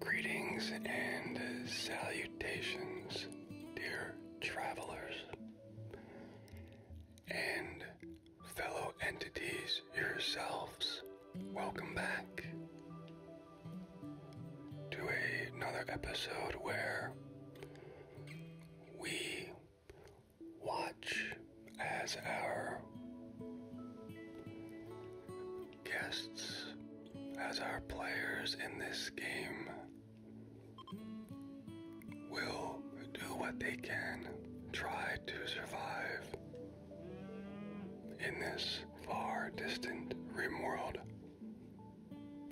Greetings and salutations, dear travelers and fellow entities yourselves. Welcome back to another episode where we watch as our guests as our players in this game will do what they can, try to survive in this far distant rim world.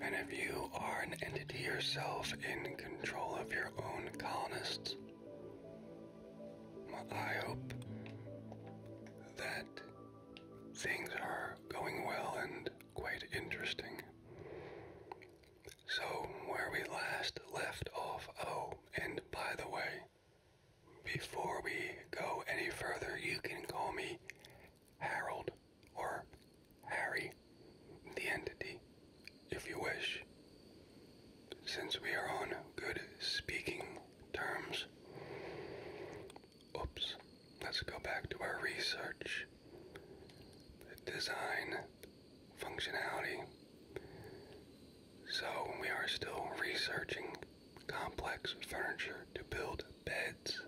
And if you are an entity yourself in control of your own colonists, I hope that things are going well and quite interesting. So, where we last left off, oh, and by the way, before we go any further, you can call me Harold or Harry, the entity, if you wish. Since we are on good speaking terms. Oops, let's go back to our research. Design, functionality. So, we are still researching complex furniture to build beds,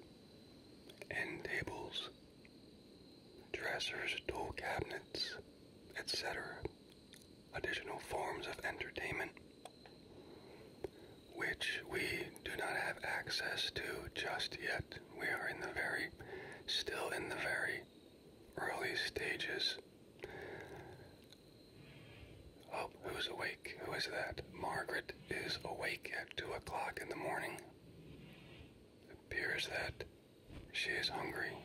end tables, dressers, tool cabinets, etc., additional forms of entertainment which we do not have access to just yet. We are in the very, still in the very early stages. Oh, who's awake? Who is that? Margaret is awake at 2 o'clock in the morning. appears that she is hungry.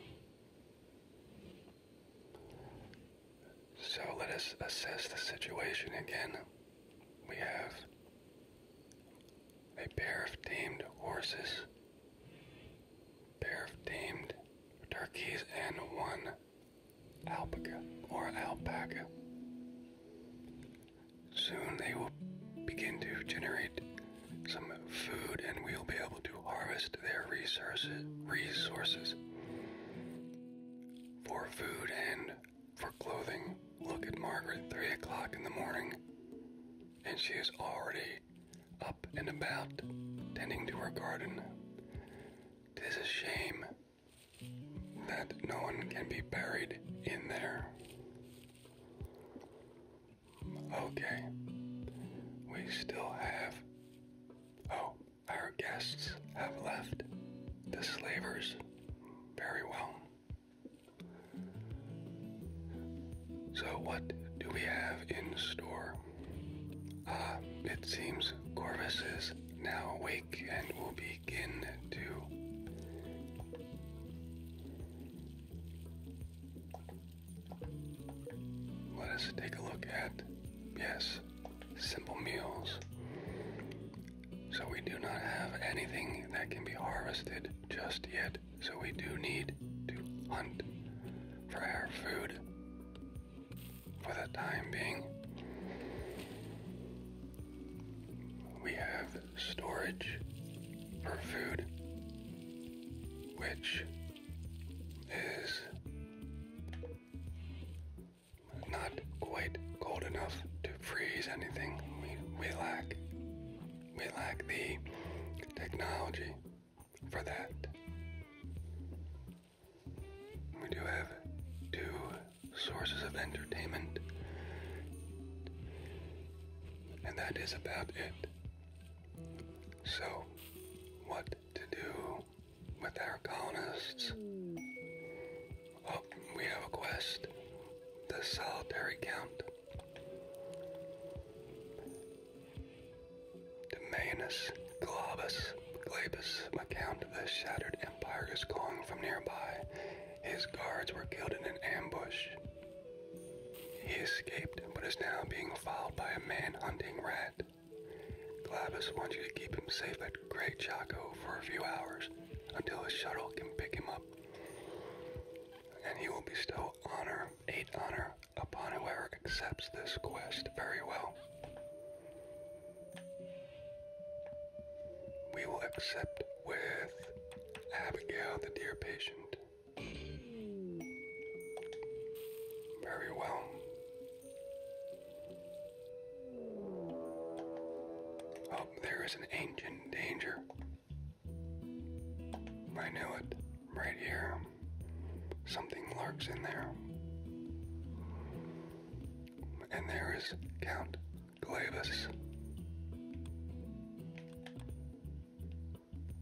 So let us assess the situation again. We have a pair of tamed horses, pair of tamed turkeys, and one alpaca or alpaca. Soon they will begin to generate some food and we'll be able to harvest their resources resources for food and for clothing. Look at Margaret, three o'clock in the morning, and she is already up and about, tending to her garden. Tis a shame that no one can be buried in there. Okay, we still have. Oh, our guests have left the slavers very well. So, what do we have in store? Ah, it seems Corvus is now awake and will begin to. Let us take a look at. Yes, simple meals. So we do not have anything that can be harvested just yet. So we do need to hunt for our food for the time being. We have storage for food, which is not quite cold enough to freeze anything. We, we lack we lack the technology for that. We do have two sources of entertainment, and that is about it. So, what to do with our colonists. Up, oh, we have a quest the solitary count. Domanus Globus Glabus account the shattered empire is calling from nearby. His guards were killed in an ambush. He escaped, but is now being followed by a man hunting red. Glavis wants you to keep him safe at Great Chaco for a few hours until a shuttle can pick him up. And he will bestow honor, eight honor, upon whoever accepts this quest very well. We will accept with Abigail, the dear patient. Very well. Oh, there is an ancient danger. I knew it. Right here. Something lurks in there. And there is Count Glavis.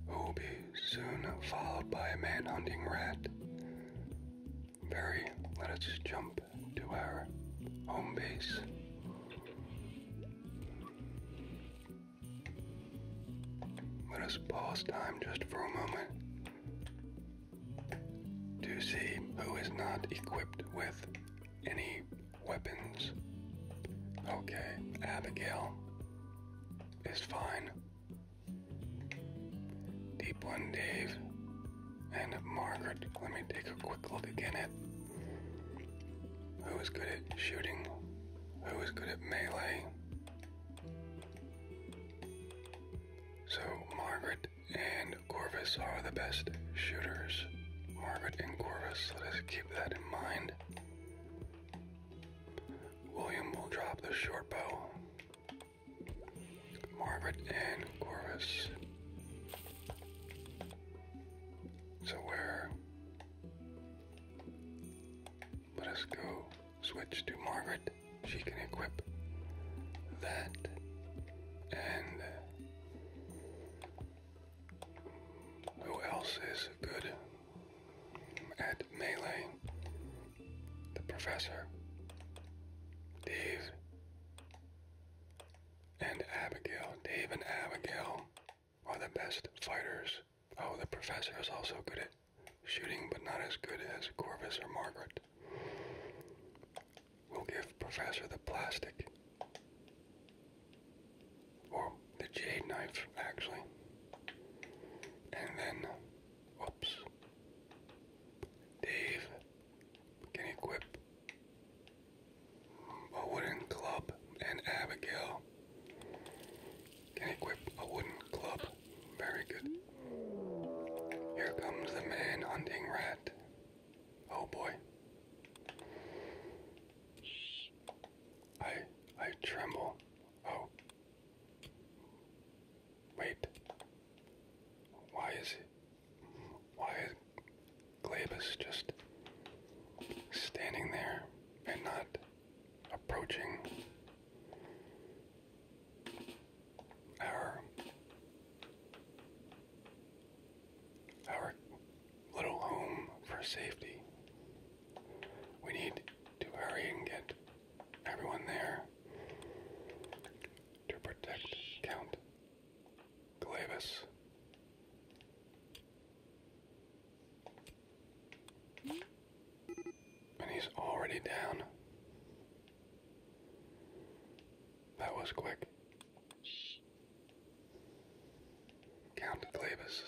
Who will be soon followed by a man hunting rat very. Let us jump to our home base. Let us pause time just for a moment to see who is not equipped with any weapons. Okay, Abigail is fine. Deep One Dave and Margaret. Let me take a quick look again at who is good at shooting, who is good at melee. So, Margaret and Corvus are the best shooters. Margaret and Corvus, let us keep that in mind. William will drop the short bow. Morbid and Corvus. So where? Let us go switch to Margaret. She can equip that and who else is good at melee? The professor. Dave and Abigail, Dave and Abigail are the best fighters. Oh, the professor is also good at shooting, but not as good as Corvus or Margaret. We'll give Professor the plastic. Or the jade knife, actually. And then, whoops. Dave can equip a wooden club, and Abigail can equip a wooden club. Very good. Here comes the man hunting rat. Oh boy. I I tremble. Oh. Wait. Why is it? why Glabus just standing there and not approaching our our little home for safety. We need to hurry and get everyone there to protect Count Glavis. And he's already down. That was quick. Count Glavis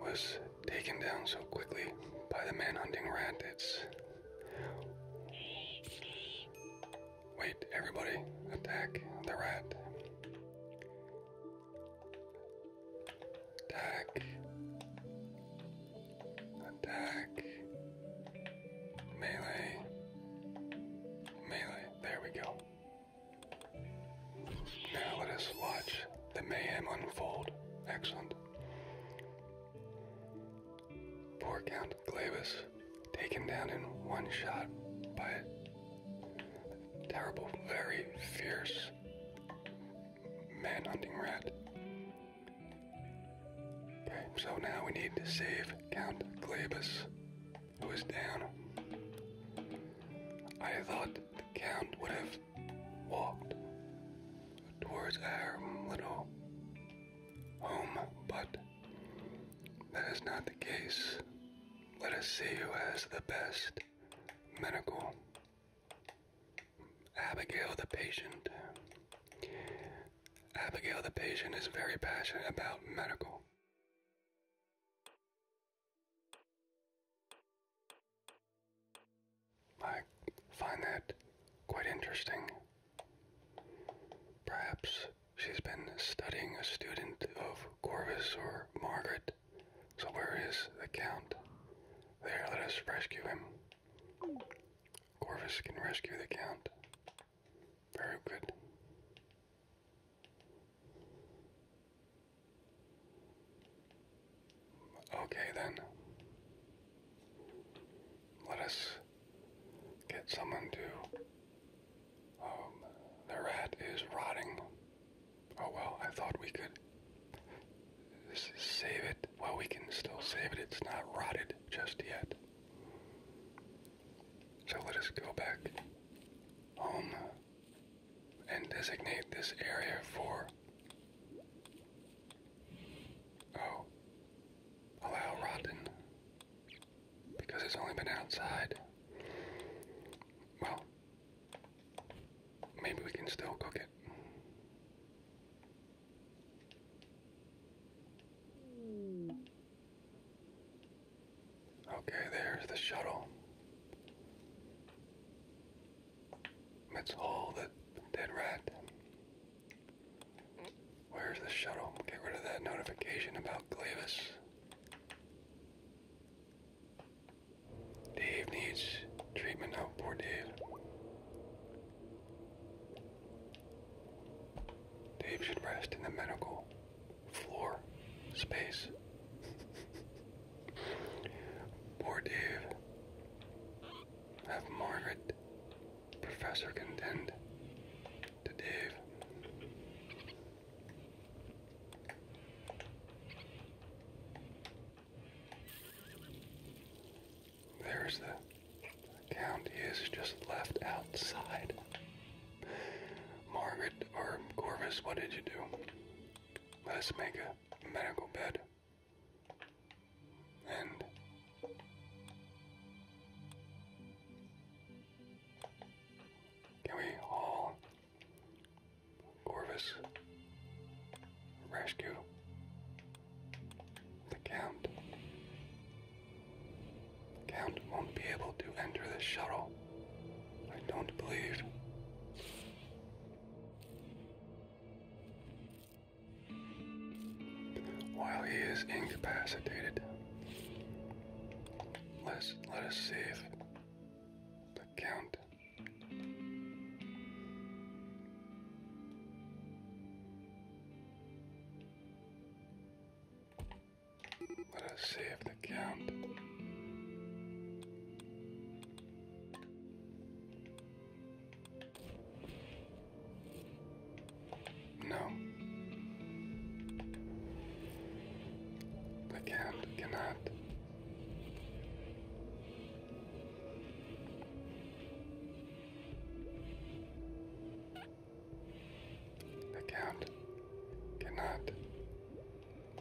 was taken down so quickly by the manhunting rat, it's Wait, everybody, attack the rat. Attack. Attack. Melee. Melee. There we go. Now let us watch the mayhem unfold. Excellent. Poor Count Glavis, taken down in one shot by a terrible, very fierce man hunting rat. Okay, so now we need to save Count Glavis, who is down. I thought the Count would have walked towards our little home, but that is not the case. Let us see who has the best medical. Abigail the patient. Abigail the patient is very passionate about medical. I find that quite interesting. Perhaps she's been studying a student of Corvus or Margaret. So, where is the Count? There, let us rescue him. Corvus can rescue the Count. Very good. Okay, then. Let us get someone to. Um, the rat is rotting. Oh well, I thought we could save it. Well, we can still save it. It's not rotted just yet. So let us go back home and designate this area for Oh. Allow rotten. Because it's only been outside. Well, maybe we can still cook it. Okay, there's the shuttle. Let's the dead rat Where's the shuttle? Get rid of that notification about Glavis. Dave needs treatment. Oh, poor Dave. Dave should rest in the medical floor space. poor Dave. have Margaret Professor contend to Dave. There's the count. is just left outside. Margaret or Corvus, what did you do? Let's make a medical bed and can we all Corvus rescue the Count? The Count won't be able to enter the shuttle. I don't believe while he is incapacitated. Let's save the count. Let us save the count. No. I can't, cannot. I can't, cannot,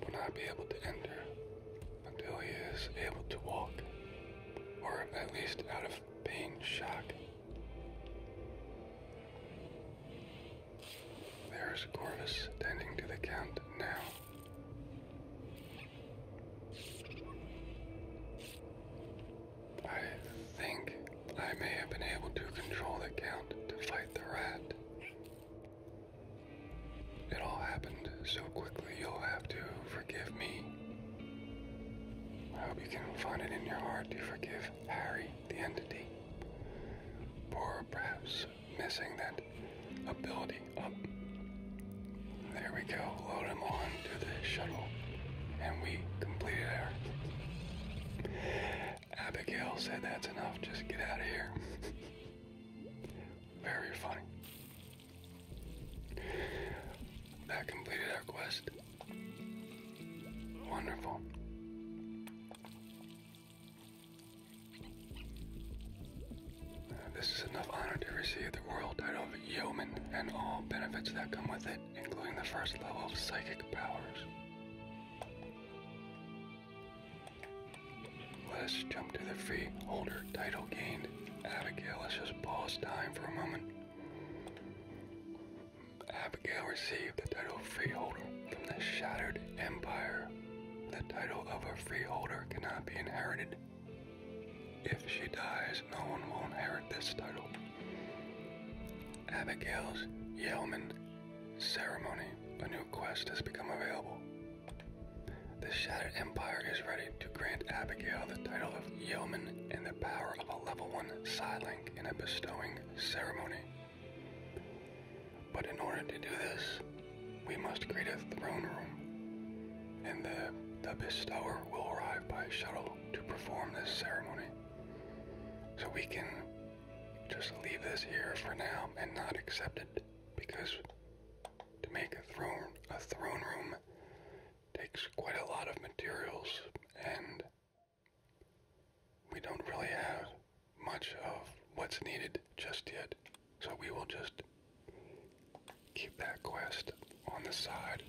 will not be able to enter until he is able to walk, or at least out of pain shock. There is Corvus tending to the Count now. I think I may have been able to control the Count to fight the rat. It all happened so quickly, you'll have to forgive me I hope you can find it in your heart to forgive Harry, the entity, for perhaps missing that ability up. Oh, there we go, load him on to the shuttle, and we completed our. Abigail said that's enough, just get out of here. Very funny. That completed our quest. Wonderful. Uh, this is enough honor to receive the royal title of yeoman and all benefits that come with it, including the first level of psychic powers. Let us jump to the freeholder title gained. Abigail, let's just pause time for a moment. Abigail received the title freeholder from the shattered empire. The title of a freeholder cannot be inherited. If she dies, no one will inherit this title. Abigail's Yeoman Ceremony. A new quest has become available. The Shattered Empire is ready to grant Abigail the title of Yeoman and the power of a level 1 Siling in a bestowing ceremony. But in order to do this, we must create a throne room, and the, the bestower will arrive by shuttle to perform this ceremony. So we can just leave this here for now and not accept it, because to make a throne, a throne room takes quite a lot of materials and we don't really have much of what's needed just yet, so we will just keep that quest on the side.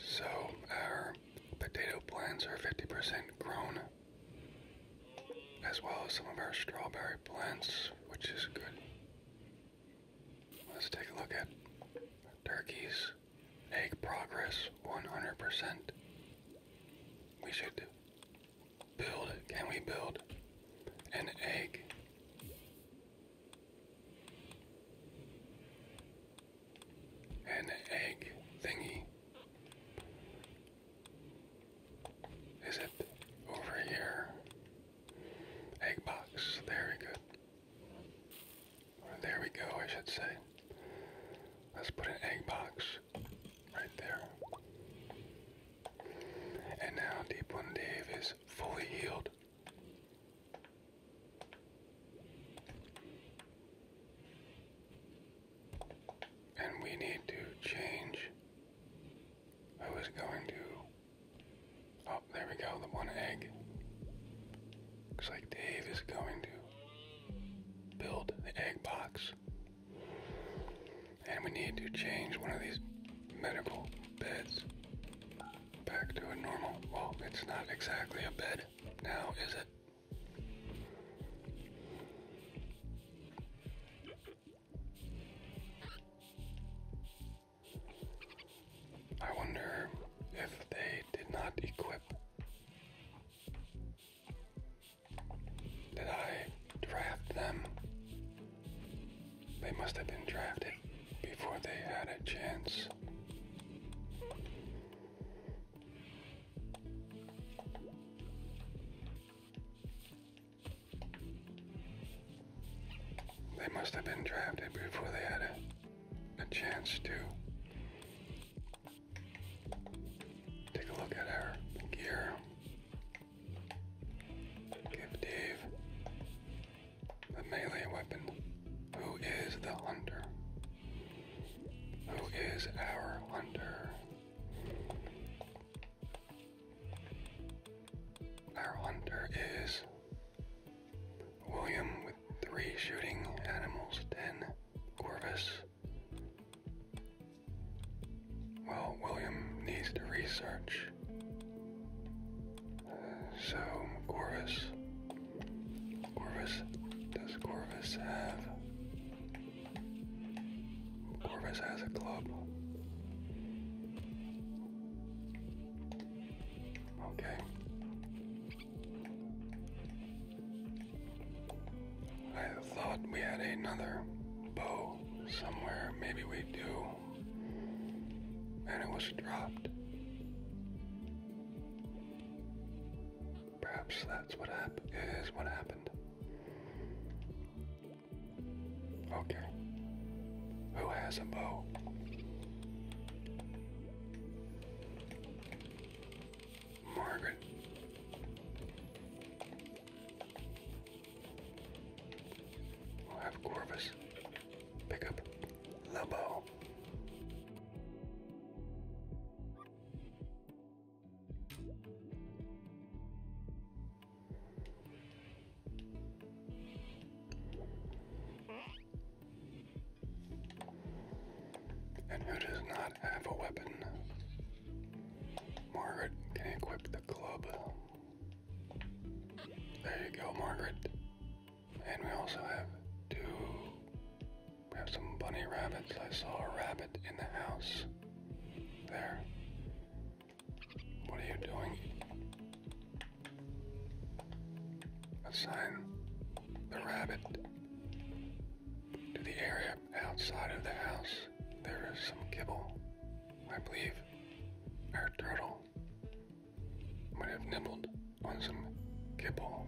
So, our potato plants are 50% grown as well as some of our strawberry plants, which is good. Let's take a look at turkeys. Make progress 100%. We should build, can we build an egg? An egg thingy. Is it over here? Egg box. There we go. There we go, I should say. Let's put an egg box right there. And now Deep One Dave is fully healed. And we need to change I was going to. Oh, there we go, the one egg. Looks like Dave is going to build the egg box. And we need to change one of these medical beds back to a normal. Well, it's not exactly a bed now, is it? I wonder if they did not equip. Did I draft them? They must have been drafted before they had a chance. They must have been drafted before they had a, a chance to take a look at our gear. Give Dave the melee weapon. Who is the hunter? Who is our hunter? Our hunter is William with three shooting animals, ten Corvus. Well, William needs to research. Uh, so, Corvus. Corvus. Does Corvus have Corvus has a club. Okay. I thought we had another bow somewhere. Maybe we do. And it was dropped. Perhaps that's what what happened. Okay. Who has a bow? Margaret. we have Corvus pick the bow. And who does not have a weapon? Margaret can equip the club. There you go, Margaret. And we also have two. We have some bunny rabbits. I saw a rabbit in the house. There. What are you doing? Assign the rabbit to the area outside of the house. There is some kibble. I believe our turtle might have nibbled on some kibble.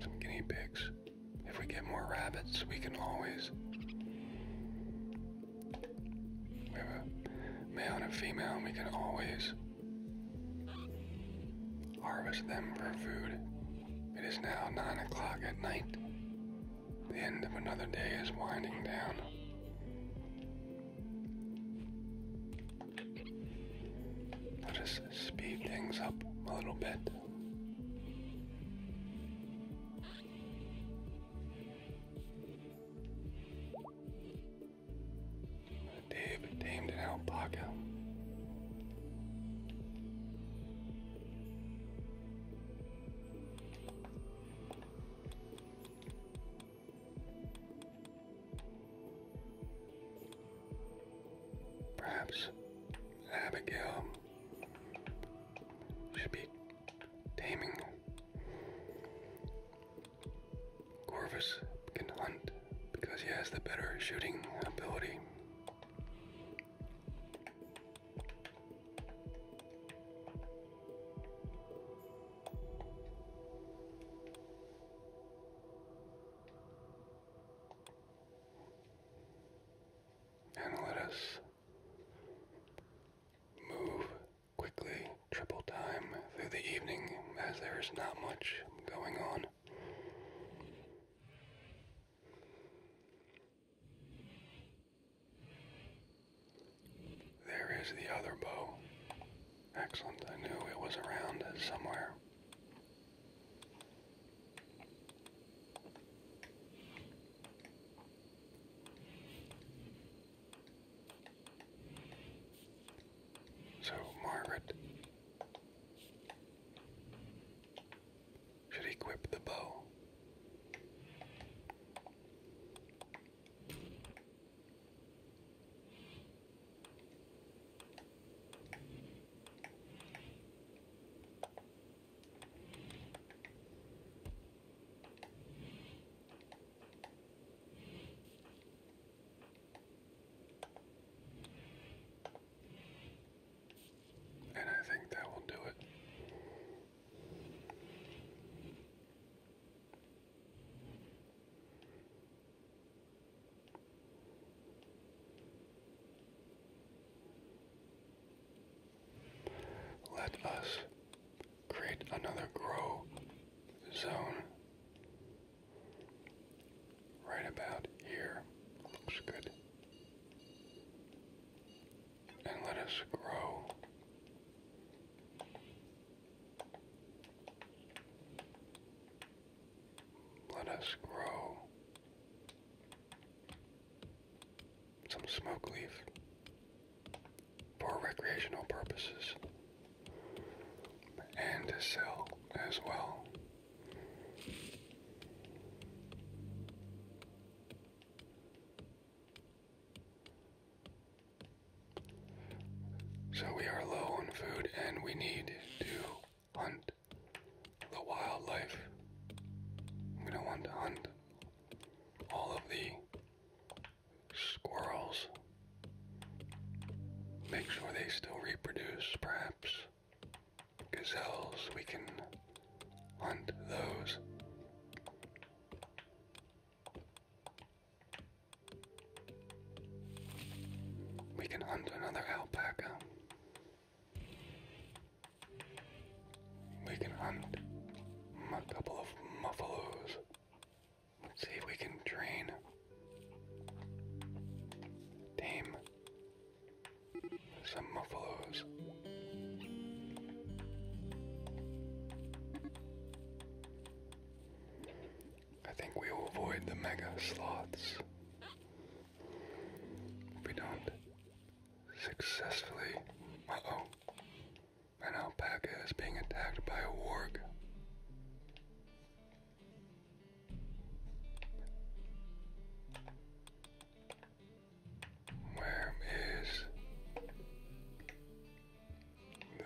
Some guinea pigs. If we get more rabbits, we can always we have a male and a female, we can always harvest them for food. It is now 9 o'clock at night. The end of another day is winding down. Let us speed things up a little bit. Dave tamed an alpaca. Perhaps Abigail should be taming. Corvus can hunt because he has the better shooting ability. And let move quickly, triple time through the evening as there is not much going on. There is the other bow. Excellent, I knew it was around somewhere. So, Margaret should equip the bow. And I think that will do it. Let us create another grow zone right about here. Looks good. And let us grow let us grow some smoke leaf for recreational purposes and to sell as well. So we are low on food and we need to hunt the wildlife. We don't want to hunt all of the squirrels. Make sure they still reproduce, perhaps. Gazelles, we can hunt those. We can hunt another alpaca. We can hunt a couple of muffalos. see if we can train. Tame. Some muffalos. I think we will avoid the mega sloths. we don't successfully. oh. An alpaca is being attacked by a warg. Where is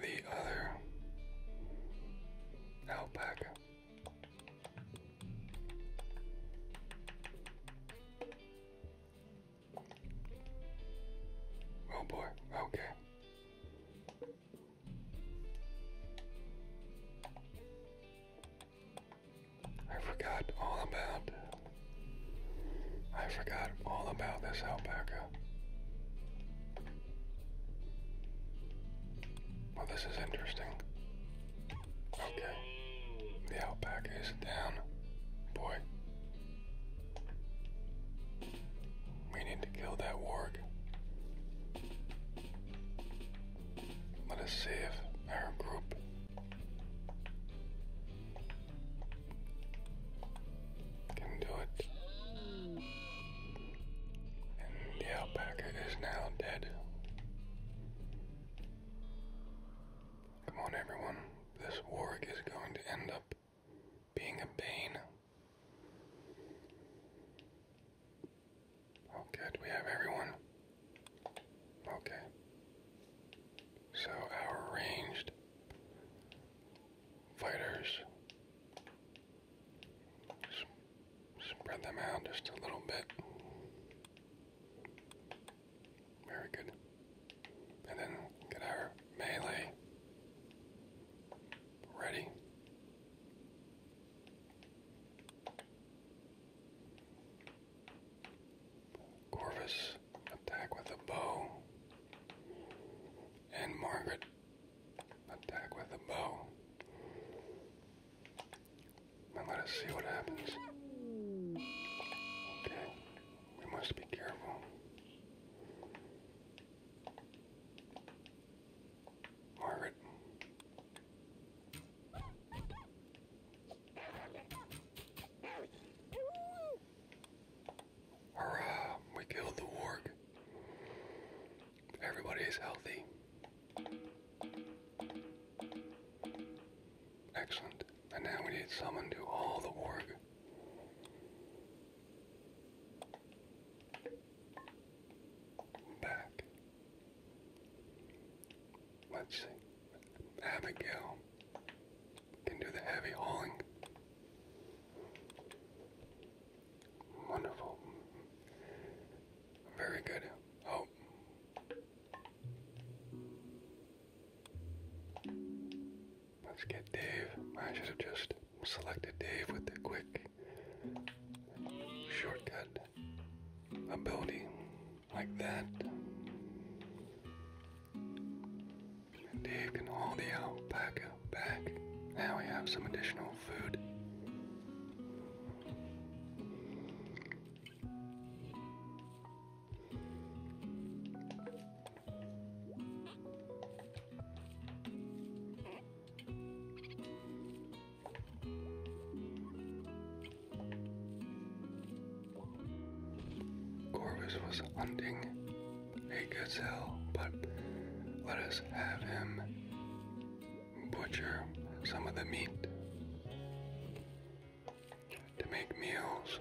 the other alpaca? Oh boy, okay. I forgot all about. I forgot all about this alpaca. Well, this is interesting. Okay. The alpaca is down. Boy, we need to kill that warg. Let us save our group. Can do it. the alpaca is now dead. Come on, everyone. This warg is going to end up being a pain. Oh, good, we have everyone. Okay. So, our ranged fighters. spread them out just a little bit. Very good. And then get our melee ready. Corvus attack with a bow. And Margaret attack with a bow. And let us see what happens. Okay. We must be careful. Margaret. Hurrah! We killed the warg. Everybody is healthy. Excellent. And now we need someone to do all the work. Back. Let's see. Abigail can do the heavy hauling. Wonderful. Very good. Oh. Let's get Dave. I should have just selected Dave with the quick shortcut ability like that. Dave can haul the alpaca back. Now we have some additional food. Corvus was hunting a gazelle, but let us have him butcher some of the meat to make meals.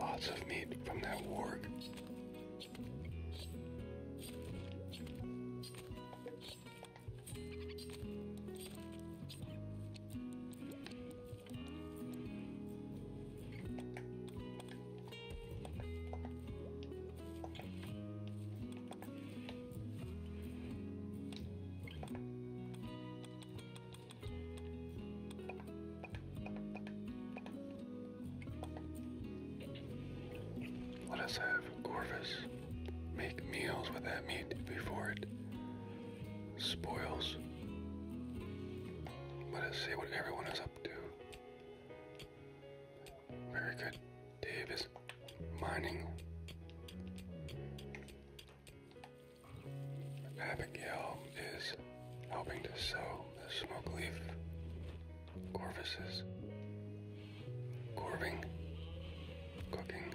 Lots of meat from that warg. Let us have Orvis make meals with that meat before it spoils. Let us see what everyone is up to. Very good. Dave mining. Abigail is helping to sow the smoke leaf Corvuses. Corving. Cooking.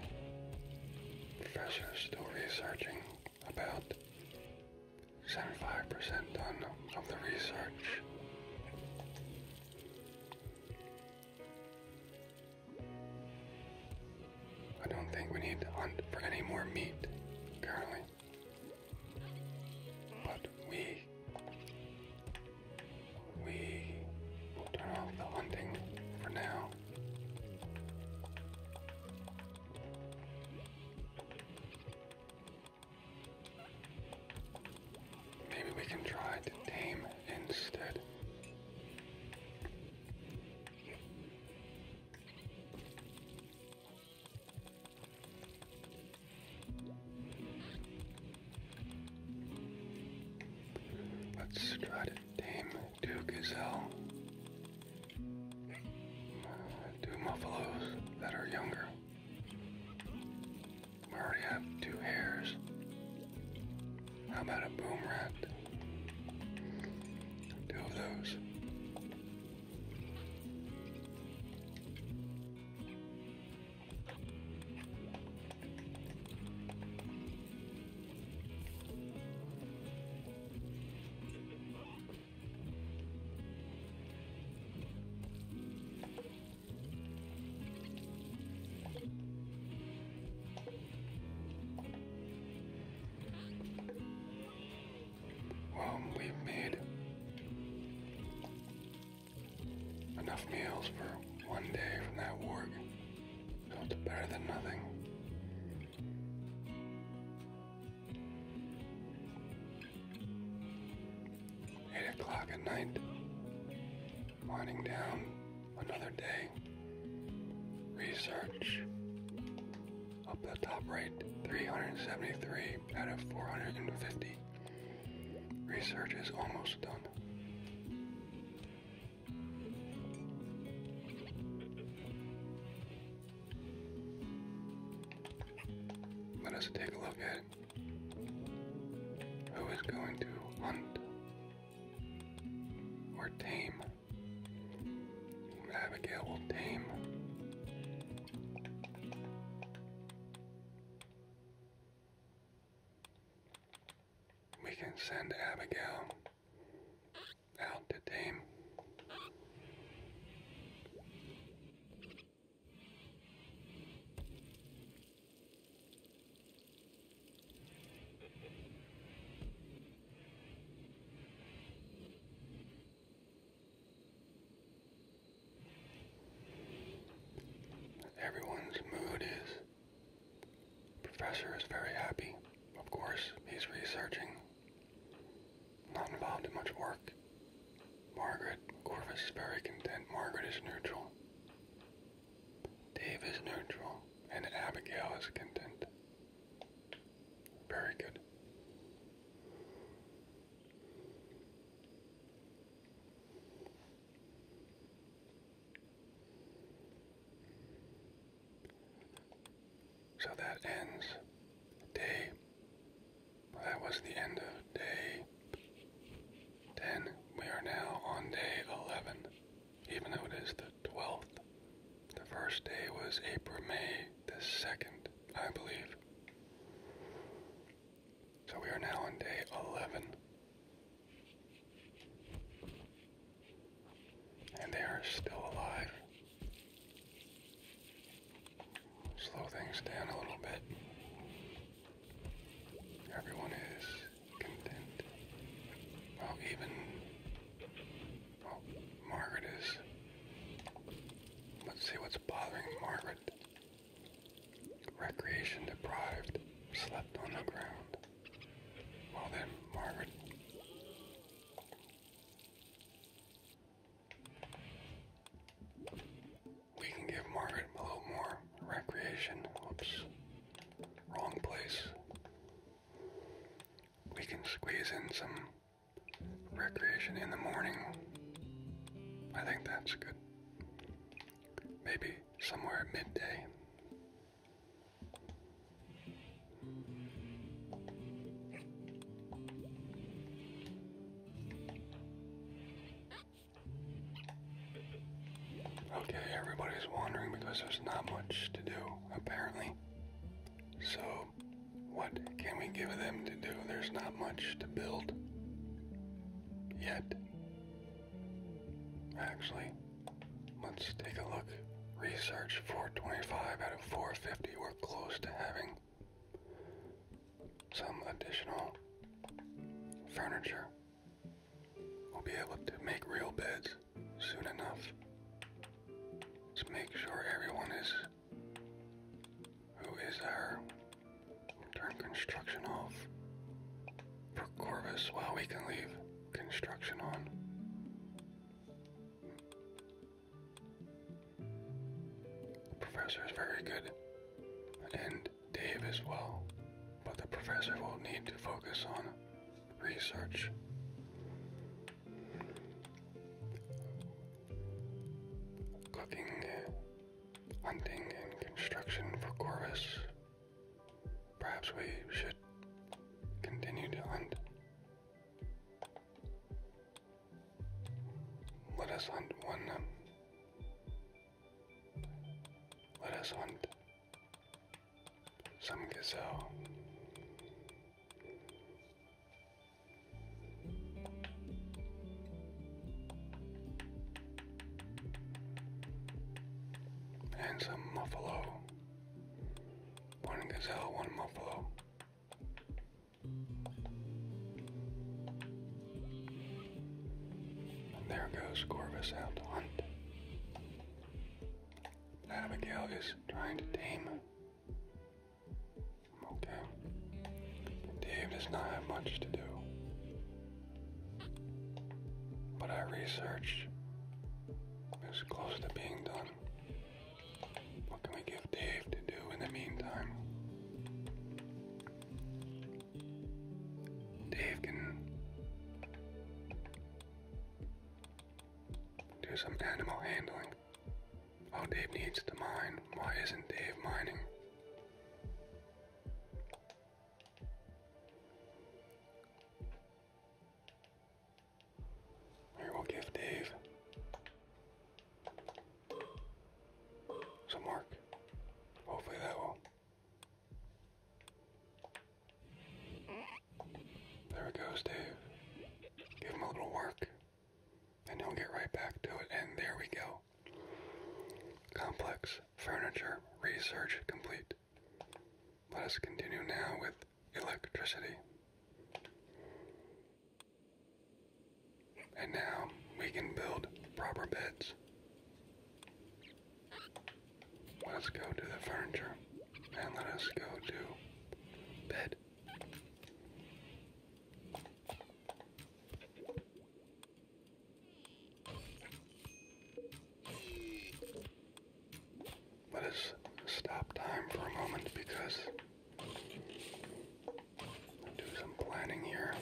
Professor's still researching about 75% done of the research. I don't think we need to hunt for any more meat currently. But we we will turn off the hunting for now. Maybe we can try to tame instead. Let's try to tame two gazelle, two buffaloes that are younger. We already have two hares. How about a boom rat? Two of those. Um, we've made enough meals for one day from that work, so better than nothing. Eight o'clock at night, winding down another day. Research. Up the top right, 373 out of 450. Research is almost done. Let us take a look at who is going to hunt or tame Abigail will tame. We can send Abigail out to tame. Everyone's mood is. Professor is very happy. Of course, he's researching. Not involved in much work. Margaret, Corvus is very content. Margaret is neutral. Dave is neutral, and Abigail is content. Very good. So that ends day. that was the end of day 10. We are now on day 11 even though it is the 12th. The first day was April, May the 2nd, I believe. So we are now on day 11. And they are still alive. Slow things down a little bit. Everyone is content. Well, even Margaret is. Let's see what's bothering Margaret. Recreation deprived, slept on the ground. Well then, Margaret. We can give Margaret a little more recreation. Oops. Wrong place we can squeeze in some recreation in the morning. I think that's good. Maybe somewhere at midday. Okay, everybody's wandering because there's not much to do, apparently. So, what can we give them to do? There's not much to build yet. Actually, let's take a look. Research 425 out of 450. We're close to having some additional furniture. We'll be able to make real beds soon enough Let's make sure everyone is who is there. Turn construction off for while we can leave construction on. The professor is very good, and Dave as well, but the professor will need to focus on research. Cooking, hunting, and construction for Corvus. Perhaps we should continue to hunt. Let us hunt one. Let us hunt some gazelle and some muffalo. One gazelle, one muffalo. there goes Corvus out to hunt. Abigail is trying to tame Okay. Dave does not have much to do. But our research is close to being done. What can we give Dave to do in the meantime? Dave can do some animal handling. Oh, Dave needs to mine. Why isn't Dave mining? we'll give Dave some work. Hopefully, that will. There it goes, Dave. Give him a little work, and he'll get right back to it. And there we go. Complex furniture research complete. Let us continue now with electricity. And now we can build proper beds. Let us go to the furniture and let us go to bed. But it's stop time for a moment because I'll do some planning here.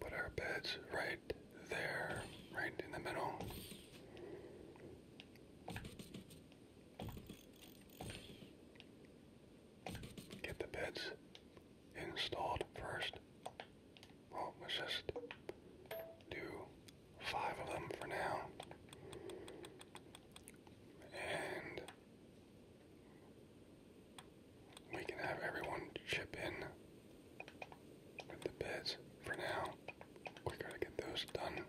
Put our beds right there, right in the middle. Get the beds installed first. Well, let's just do five of them for now. And we can have everyone chip in the beds for now. We gotta get those done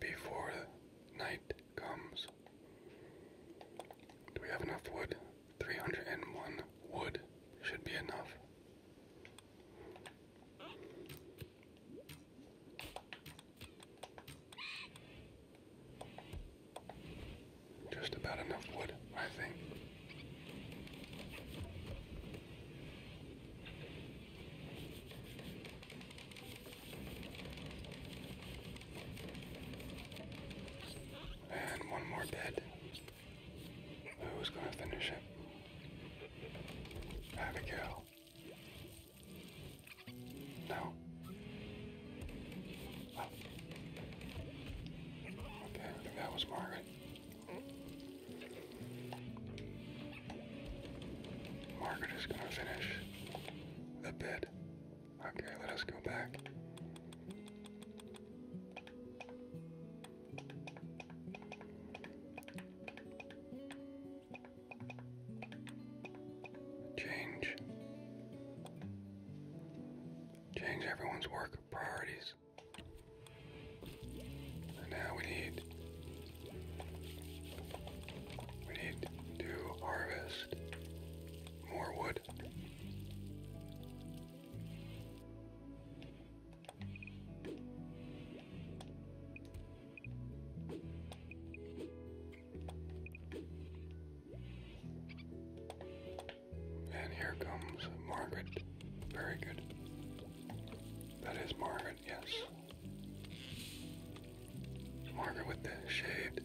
before night comes. Do we have enough wood? 301 wood should be enough. Just about enough wood, I think. And one more bed. Who's gonna finish it? Abigail. No. Oh. Okay, that was Margaret. Margaret is going to finish the bed. Okay, let us go back. Change. Change everyone's work priorities. And now we need we need to harvest more wood. And here comes Margaret. Very good. That is Margaret, yes. Margaret with the shaved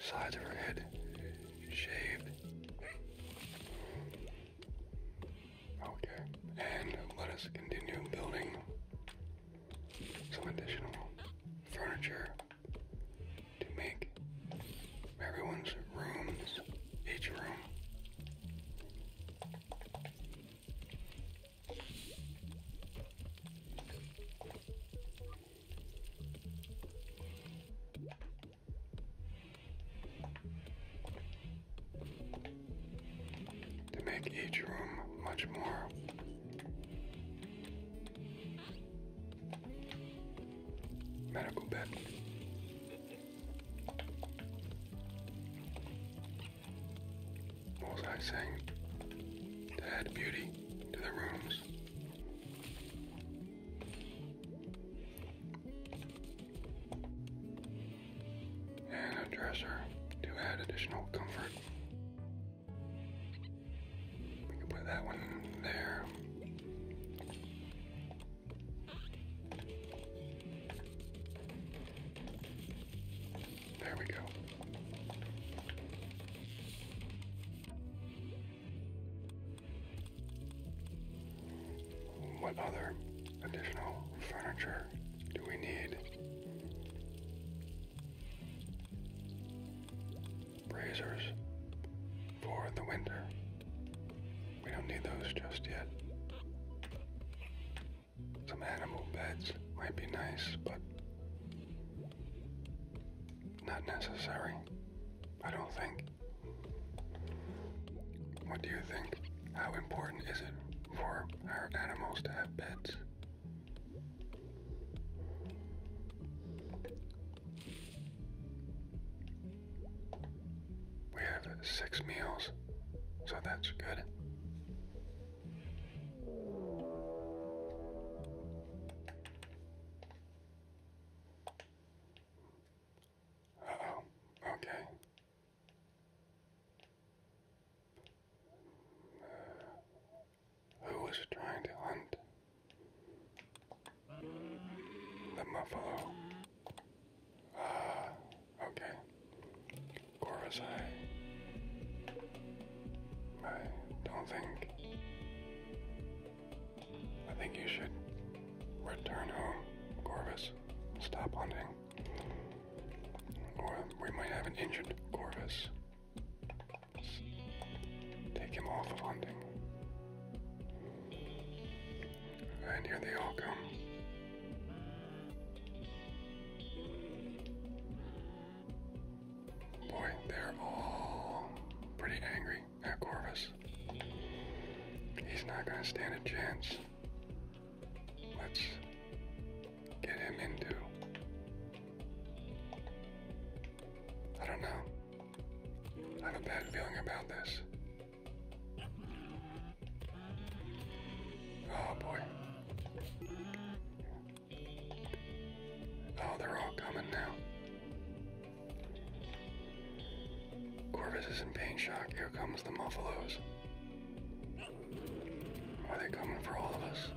sides of her head shaved. Okay, and let us continue building some additional furniture to make everyone's rooms, each room. To make each room much more Medical bed. What was To add beauty to the rooms. And a dresser to add additional comfort. We can put that one there. There we go. What other additional furniture do we need? Braziers for the winter. We don't need those just yet. Some animal beds might be nice, but not necessary, I don't think. What do you think? How important is it for our animals to have beds? We have six meals, so that's good. Uh oh, okay. who was trying to hunt? The buffalo. Ah, okay. Corvusai. I don't think. I think you should return home, Corvus. Stop hunting. Or we might have an injured Corvus. Take him off of hunting. And here they all come. Boy, they're all pretty angry at Corvus. He's not going to stand a chance. Let's get him into. I don't know. I have a bad feeling about this. Oh boy. Oh, they're all coming now. Corvus is in pain shock. Here comes the Muffalos. Are they coming for all of us?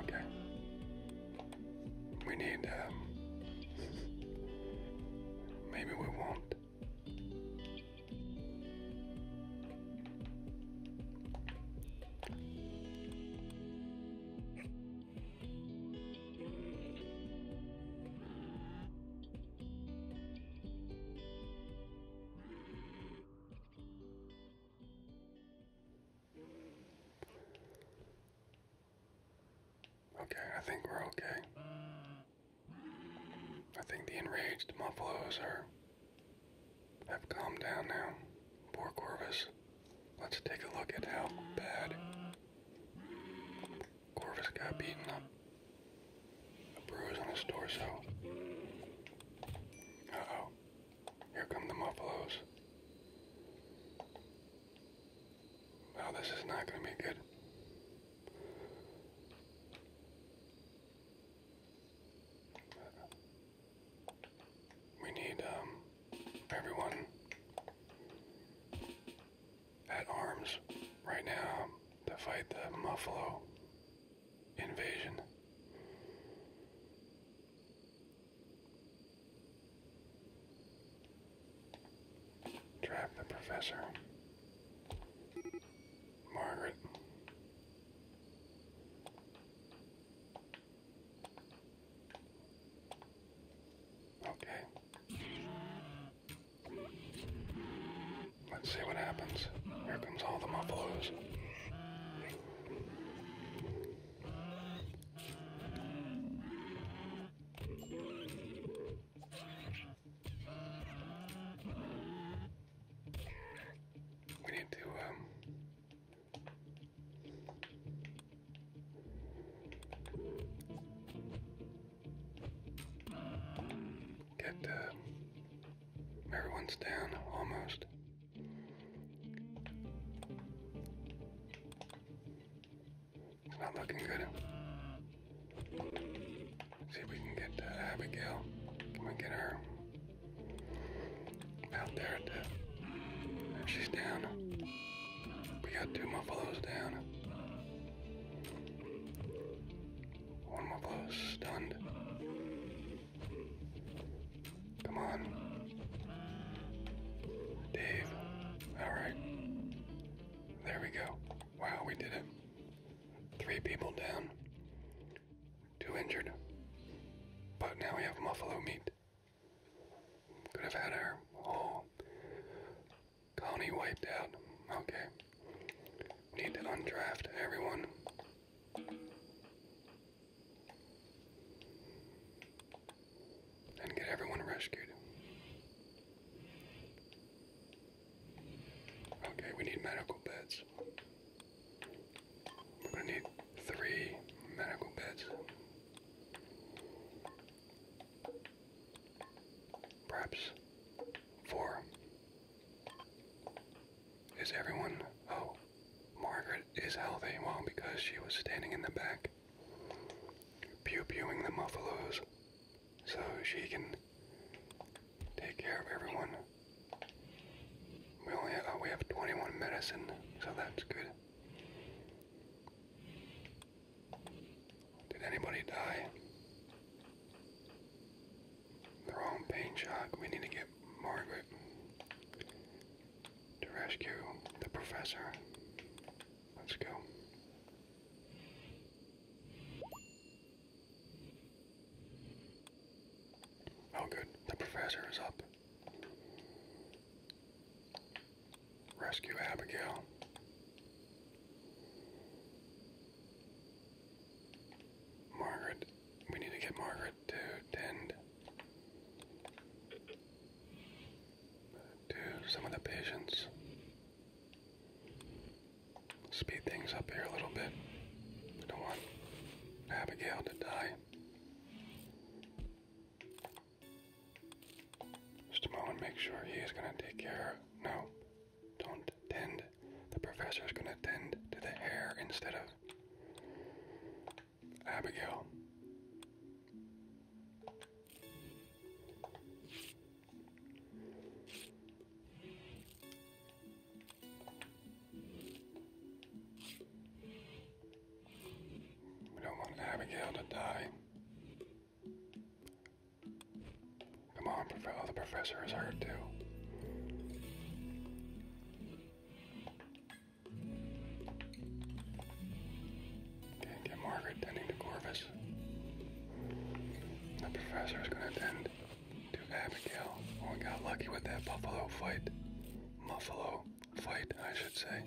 Okay. We need, um, maybe we won't. Okay, I think we're okay. I think the enraged muffalos are have calmed down now. Poor Corvus. Let's take a look at how bad Corvus got beaten up. A bruise on his torso. oh. Here come the Muffalos. Wow, this is not going to be good. We need um, everyone at arms right now to fight the Muffalo invasion. Trap the professor. Margaret. Okay. Let's see what happens. Here comes all the muffalos. We need to, um, get, um, everyone's down almost. It's not looking good. See if we can get uh, Abigail. Can we get her out there? if she's down, we got two buffaloes down. One buffalo's stunned. Come on. Dave. Alright. There we go. Wow, we did it. Three people down. Two injured. But now we have buffalo meat. Could have had our whole colony wiped out. Okay. Need to undraft everyone and get everyone rescued. Okay, we need medical beds. We're gonna need three medical beds. Perhaps four. Is everyone. Oh, Margaret is healthy. Well, because she was standing in the back pew pewing the muffalos so she can take care of everyone. We only uh, we have 21 medicine, so that's good. Did anybody die? They're pain shock. We need to get Margaret to rescue the professor. Let's go. Oh, good. The professor is up. Rescue Abigail. Margaret. We need to get Margaret to tend to some of the patients. Speed things up here a little bit. I don't want Abigail to die. Just a moment, make sure he is going to take care. No, don't tend. The professor is going to tend to the hair instead of Abigail. We don't want Abigail to die. Come on, oh, the professor is hurt too. Can't Margaret tending to Corvus. The professor is going to tend to Abigail. we got lucky with that buffalo fight. Muffalo fight, I should say.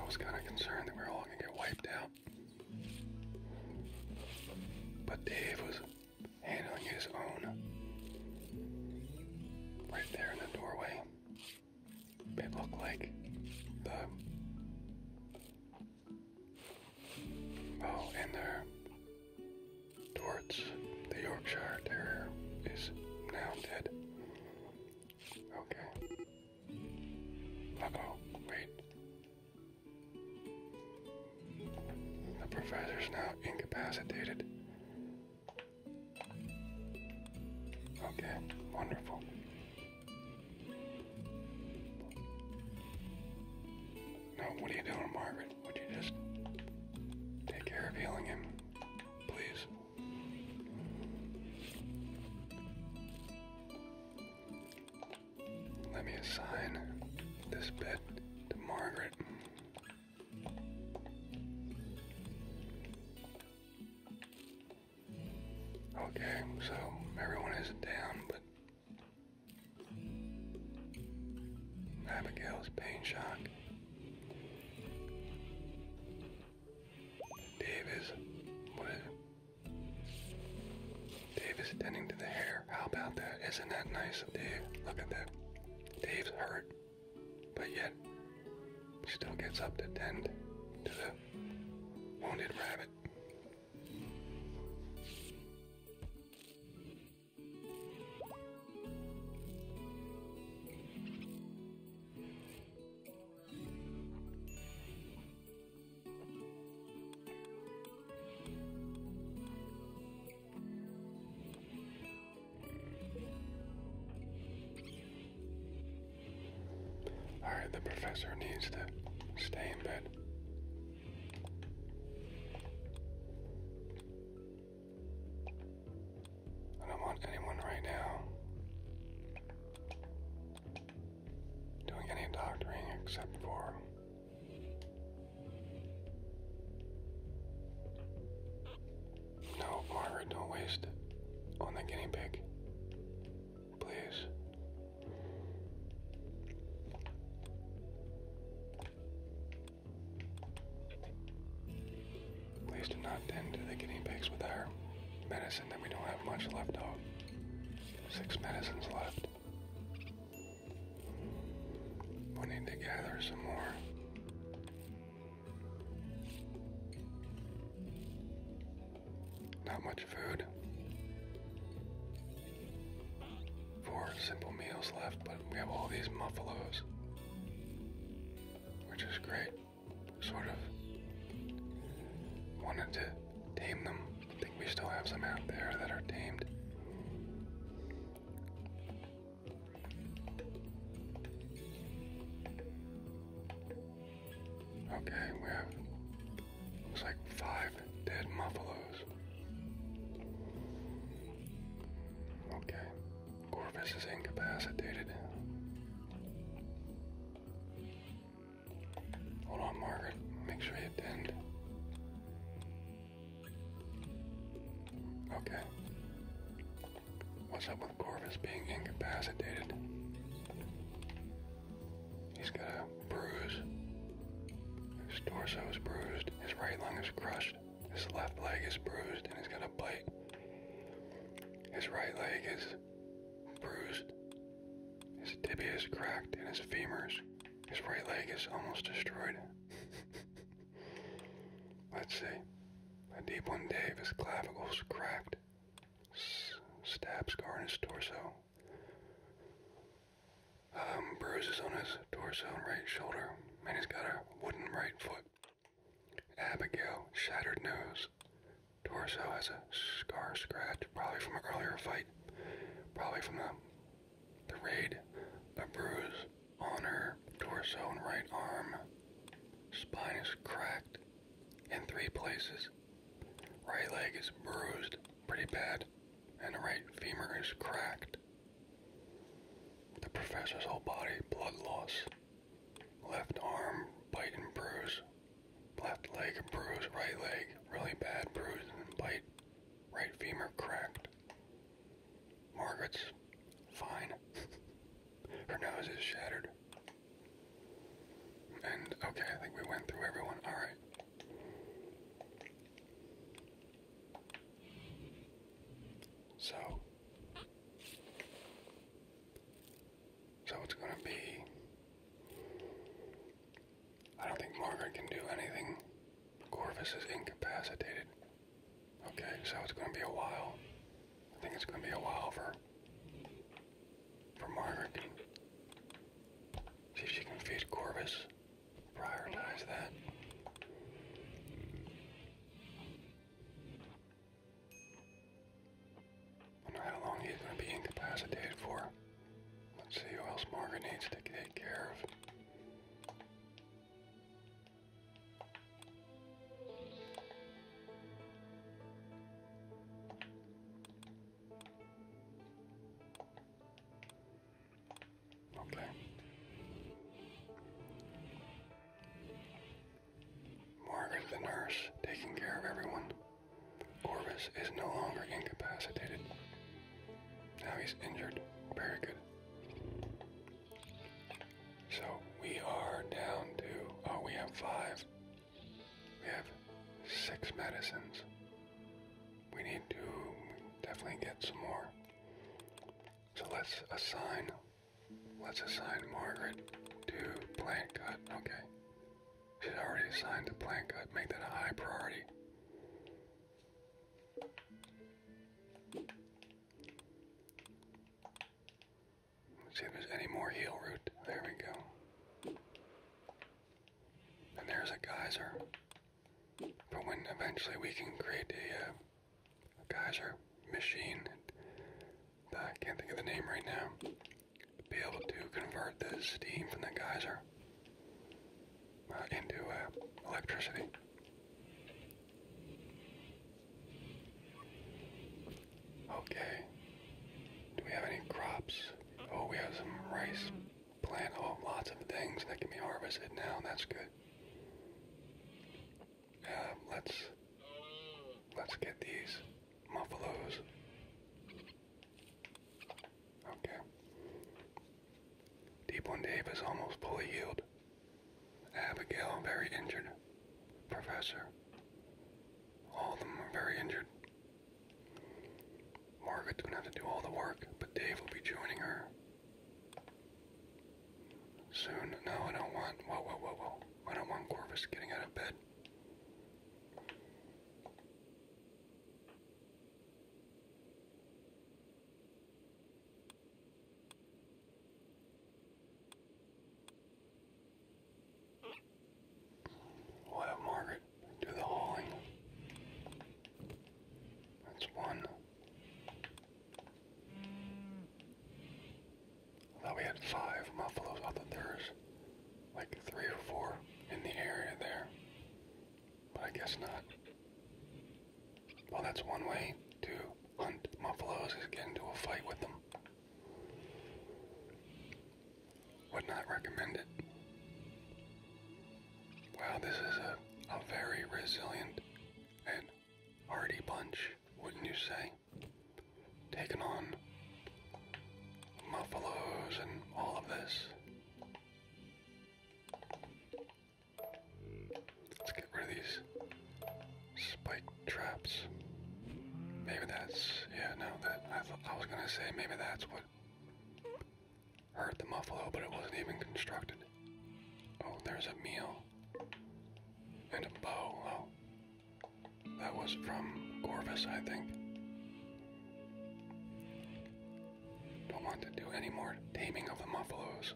I was kind of concerned that we were all going to get wiped out. But Dave was handling his own right there in the doorway. It look like the oh, and their Torts, the Yorkshire Terrier, is now dead. Okay. oh, wait. The professor's now incapacitated. Okay, wonderful. Now, what are you doing, Margaret? Would you just take care of healing him, please? Let me assign this bed to Margaret. Okay, so everyone isn't down, but Abigail's pain shock. Dave is what is it? Dave is tending to the hair. How about that? Isn't that nice of Dave? Look at that. Dave's hurt but yet still gets up to tend to the wounded rabbit. Alright, the professor needs to stay in bed. I don't want anyone right now doing any doctoring except for no, Margaret, don't waste it on the guinea pig. Please. Please do not tend to the guinea pigs with our medicine that we don't have much left of. Six medicines left. We need to gather some more. Not much food. Four simple meals left, but we have all these muffalos, which is great. Sort of wanted to tame them. I think we still have some out there that are tamed. Okay, we have looks like five dead muffalos. Okay, Corvus is incapacitated. Hold on, Margaret. Make sure you attend. Okay. What's up with Corvus being incapacitated? He's got a bruise. His torso is bruised, his right lung is crushed, his left leg is bruised, and he's got a bite. His right leg is bruised, his tibia is cracked, and his femurs. His right leg is almost destroyed. Let's see. A deep one His clavicles cracked stab scar on his torso, um, bruises on his torso and right shoulder, and he's got a wooden right foot. Abigail, shattered nose, torso has a scar scratch, probably from an earlier fight, probably from the, the raid, a bruise on her torso and right arm, spine is cracked in three places. Right leg is bruised pretty bad, and right femur is cracked. The professor's whole body, blood loss. Left arm, bite and bruise. Left leg, bruise. Right leg, really bad bruise and bite. Right femur cracked. Margaret's fine. Her nose is shattered. And okay, I think we went through everyone. Alright. So. So it's gonna be. I don't think Margaret can do anything. Corvus is incapacitated. Okay, so it's gonna be a while. I think it's going to be a while for for Margaret. see if she can feed Corvus. Prioritize that. how long he's going to be incapacitated for. Let's see who else Margaret needs to take care of. Okay. Margaret the nurse, taking care of everyone. Corvus is no longer incapacitated. Now he's injured. Very good. So we are down to, oh, we have five we have six medicines. We need to definitely get some more. So let's assign let's assign Margaret to plant cut. Okay. She's already assigned to plant cut. Make that a high priority. See if there's any more heel root. There we go. And there's a geyser. But when eventually we can create a, uh, geyser machine, that uh, I can't think of the name right now, be able to convert the steam from the geyser uh, into uh, electricity. Okay. Do we have any crops? Oh, we have some rice plant. Oh, lots of things that can be harvested now. That's good. Uh, let's let's get these muffalos. Okay. Deeplin Davis almost fully healed. Abigail very injured. Professor all of them are very injured. Margaret's going have to do all the work, but Dave will be joining her soon. No, I don't want. Whoa, whoa, whoa, whoa! I don't want Corvus getting out of bed. We'll have Margaret do the hauling. That's one. I thought we had five buffaloes. I there was like three or four in the area there. But I guess not. Well, that's one way to hunt buffaloes is get into a fight with them. Would not recommend it. Wow, this is a, a very resilient and hardy bunch, wouldn't you say? Taking on muffalos and all of this. Let's get rid of these spike traps. Maybe that's, yeah, no, that, I, was gonna say maybe that's what hurt the muffalo, but it wasn't even constructed. Oh, there's a meal. And a bow. Oh, that was from Corvus, I think. Don't want to do any more taming of the muffalos.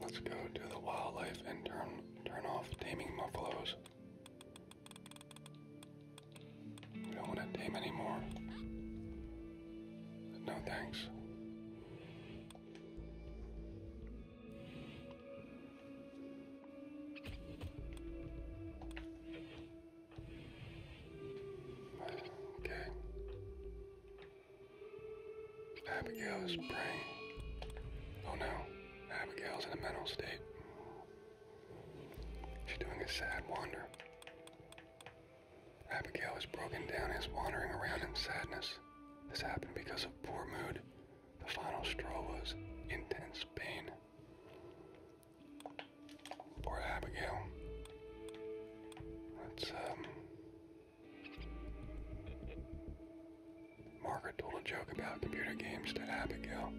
Let's go to the wildlife and turn turn off taming buffaloes. We don't want to tame anymore. No thanks. Okay. Abigail is praying. Oh no, Abigail's in a mental state. She's doing a sad wander. Abigail is broken down and is wandering around in sadness. This happened because of poor mood. The final straw was intense pain. Or Abigail. That's, um. Margaret told a joke about computer games to Abigail.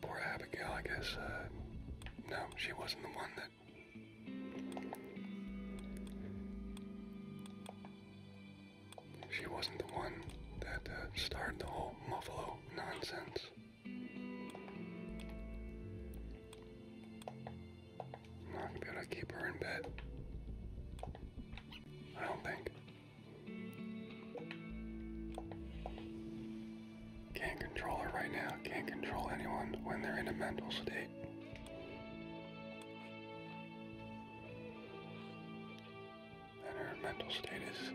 Poor Abigail, I guess, uh, No, she wasn't the one that. She wasn't the one that uh, started the whole Muffalo nonsense. I'm not gonna keep her in bed. I don't think. Can't control her right now. Can't control anyone when they're in a mental state and her mental state is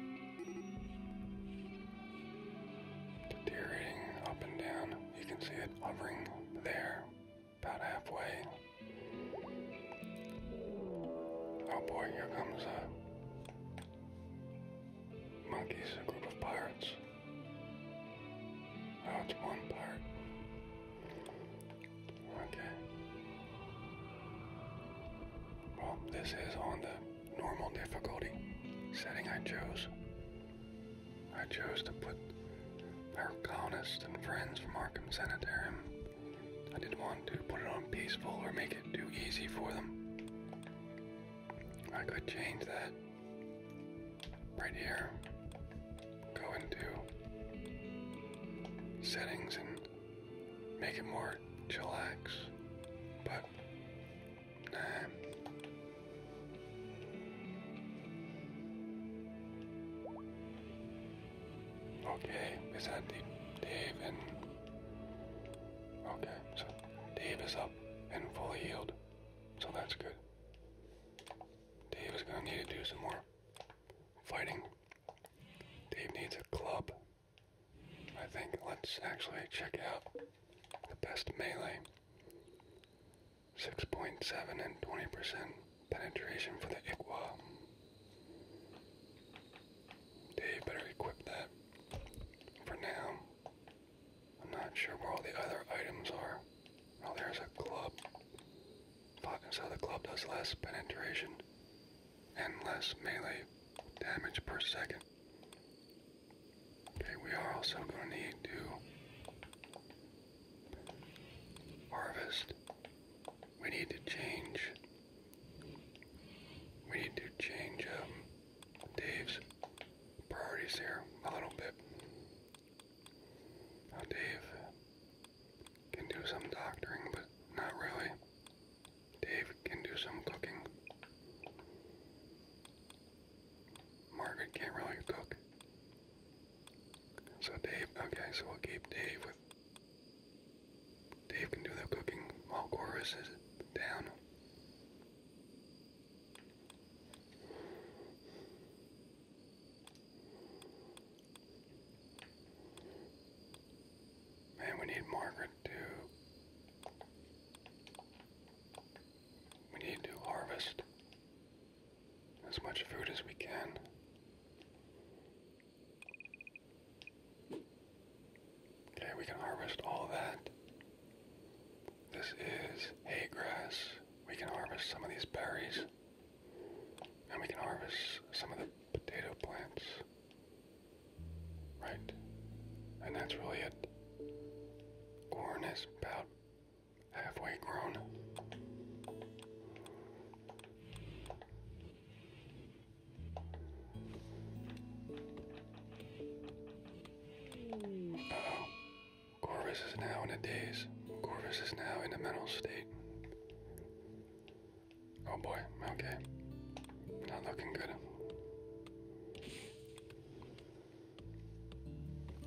deteriorating up and down. You can see it hovering there, about halfway. Oh boy, here comes a monkeys, group of pirates. Oh, it's one pirate. Okay. Well, this is on the normal difficulty setting I chose. I chose to put our colonists and friends from Arkham Sanitarium. I didn't want to put it on peaceful or make it too easy for them. I could change that right here. Go into settings and make it more chillax, but Okay, is that Dave and okay, so Dave is up and fully healed, so that's good. Dave is gonna need to do some more fighting Dave needs a club. I think let's actually check out the best melee. 6.7 and 20% penetration for the Iqua. Dave better equip that. For now, I'm not sure where all the other items are. Oh, there's a club. Fuckin' So the club does less penetration and less melee damage per second. Okay, we are also going to need to harvest. We need to change. We need to change um, Dave's priorities here a little bit. Dave can do some doctoring, but not really. Dave can do some cooking. Margaret can't really cook. So Dave, okay, so we'll keep Dave with. Dave can do the cooking while Chorus is down. Man, we need Margaret to. We need to harvest as much food as we can. Okay, we can harvest all that. This is hay grass. We can harvest some of these berries. And we can harvest some of the potato plants. Right. And that's really it. Corn is about halfway grown. oh. Corvus is now in a daze. Corvus is now in a mental state. Oh boy, okay. Not looking good.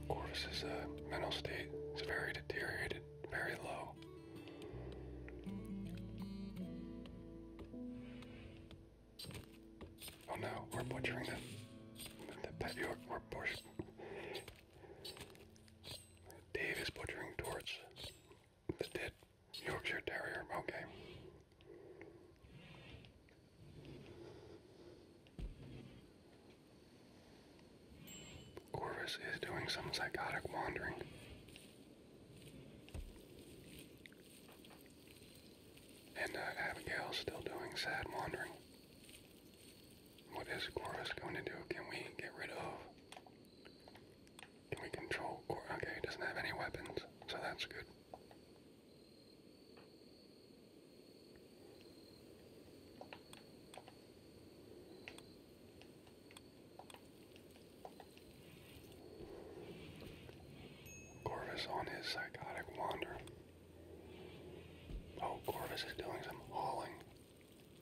Corvus's uh, mental state is very deteriorated, very low. Oh no, we're butchering the, the pet York. We're butchering. Dave is butchering torts the dead Yorkshire Terrier. Okay. Corvus is doing some psychotic wandering. And uh, still doing sad wandering. What is Corvus going to do? Can we get rid of can we control Okay, he doesn't have any weapons, so that's good. Corvus on his psychotic wander. Oh, Corvus is doing some hauling.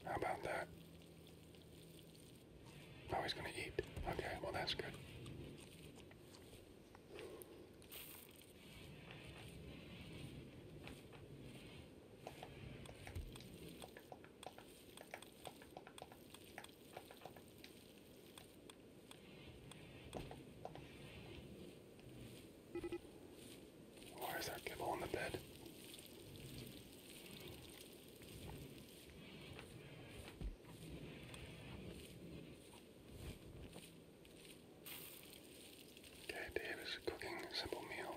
How about that? Oh, he's gonna eat. Okay, well, that's good. Why is that kibble on the bed? Okay, Dave is cooking a simple meal.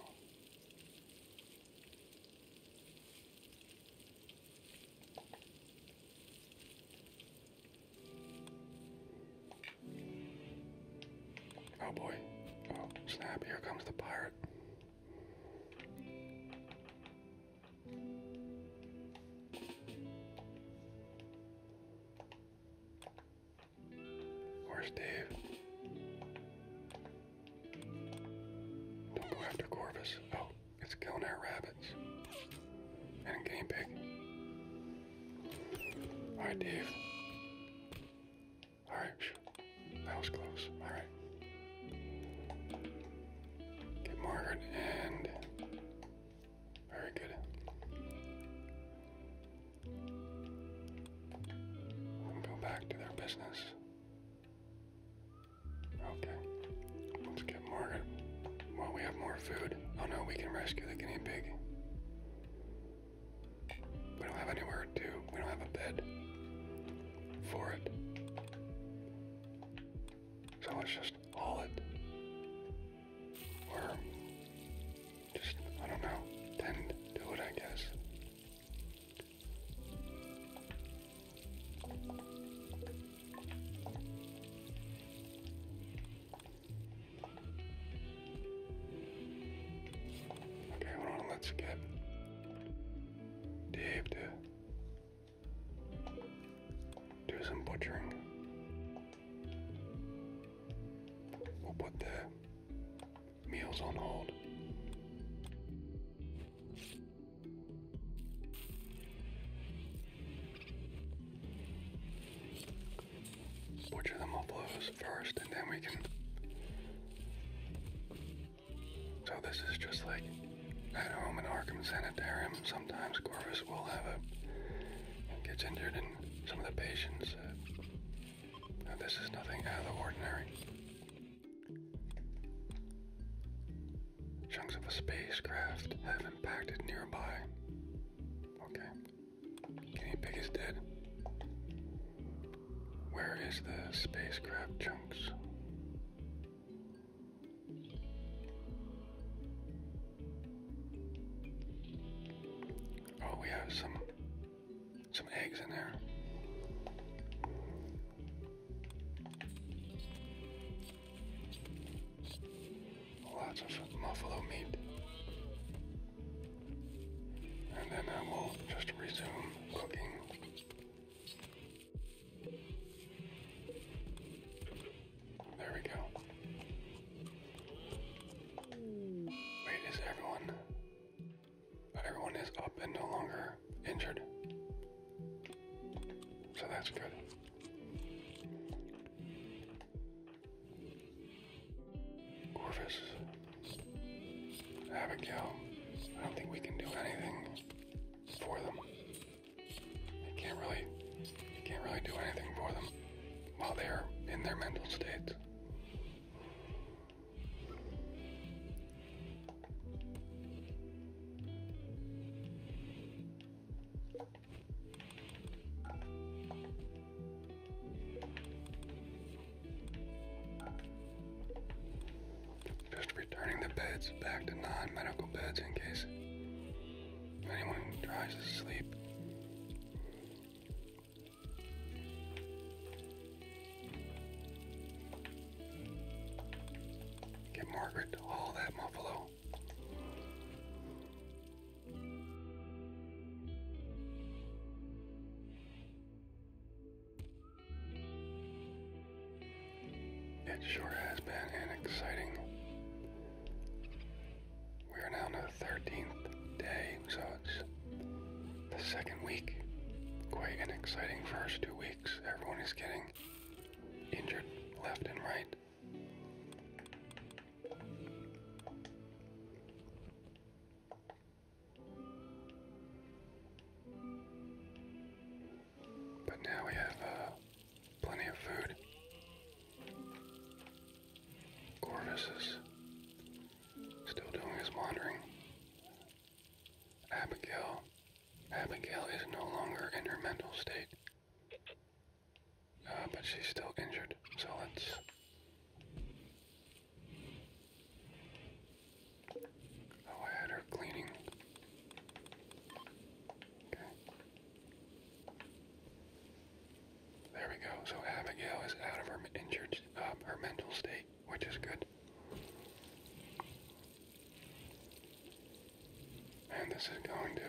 Oh boy. Oh, snap, here comes the pirate. Where's Dave? Don't go after Corvus. Oh, it's killing our rabbits. And a game pig. Alright, Dave. Alright, that was close. Alright. Get Margaret and. Very good. And go back to their business. Okay. Let's get Margaret. Well, we have more food. Oh no, we can rescue the guinea pig. We don't have anywhere to. We don't have a bed for it. So let's just haul it. Or just, I don't know, tend do it, I guess. Okay, let's get Dave to do some butchering. We'll put the meals on hold. Butcher the mufflers first, and then we can so this is just like at home in Arkham Sanitarium. Sometimes Corvus will have a gets injured in some of the patients. Uh, this is nothing out of the ordinary. Chunks of a spacecraft have impacted nearby. Okay. Guinea pig is dead. Where is the spacecraft chunks? Oh, we have some some eggs in there. Lots of buffalo meat. And then I uh, will just resume cooking there we go. Wait, is everyone. Everyone is up and no longer injured. So that's good. Corvus. Abigail. I don't think we can do anything for them. I can't really, can't really do anything for them while they are in their mental states just returning the beds back to non medical beds in case anyone tries to sleep. Get Margaret to that muffalo. It sure has been an exciting. We are now on the 13th day, so it's the second week. Quite an exciting first two weeks. Everyone is getting injured left and right. But now we have uh, Plenty of food. Corvus is still doing his wandering. Abigail. Abigail is no longer in her mental state. Uh, but she's still injured, so let's. Oh, I had cleaning. There we go. So Abigail is out of her injured, uh, her mental state, which is good. And this is going to.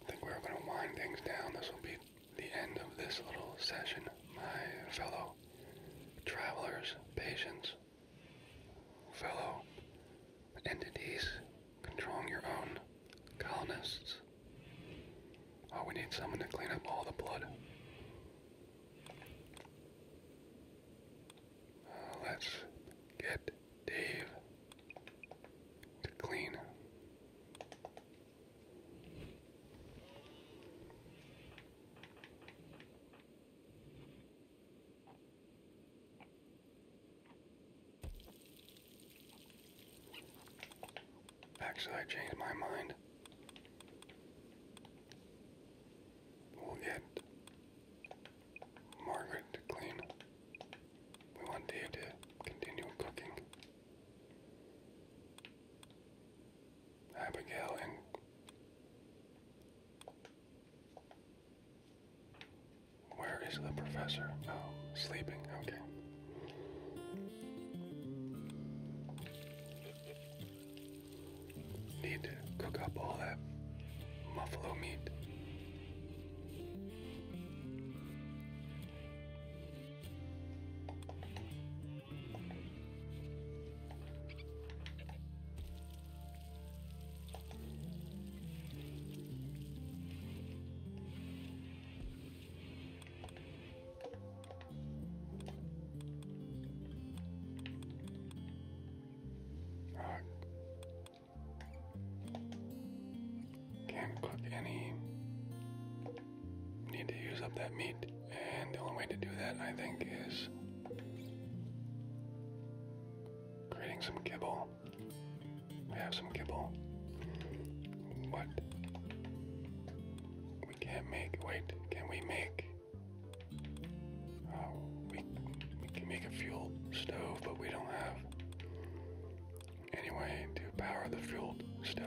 I think we're going to wind things down. This will be the end of this little session, my fellow travelers, patients fellow entities controlling your own colonists. Oh, we need someone to clean up all the blood. Uh, let's get Dave to clean. Actually, I changed my mind. We'll get Margaret clean. We want Dave to continue cooking. Abigail and where is the professor? Oh, sleeping. Okay. Need to cook up all that buffalo meat. Can't cook any. Need to use up that meat, and the only way to do that, I think, is Creating some kibble. We have some kibble. What? We can't make. Wait, can we make? Uh, we, we can make a fuel stove, but we don't have any way to power the fuel stove.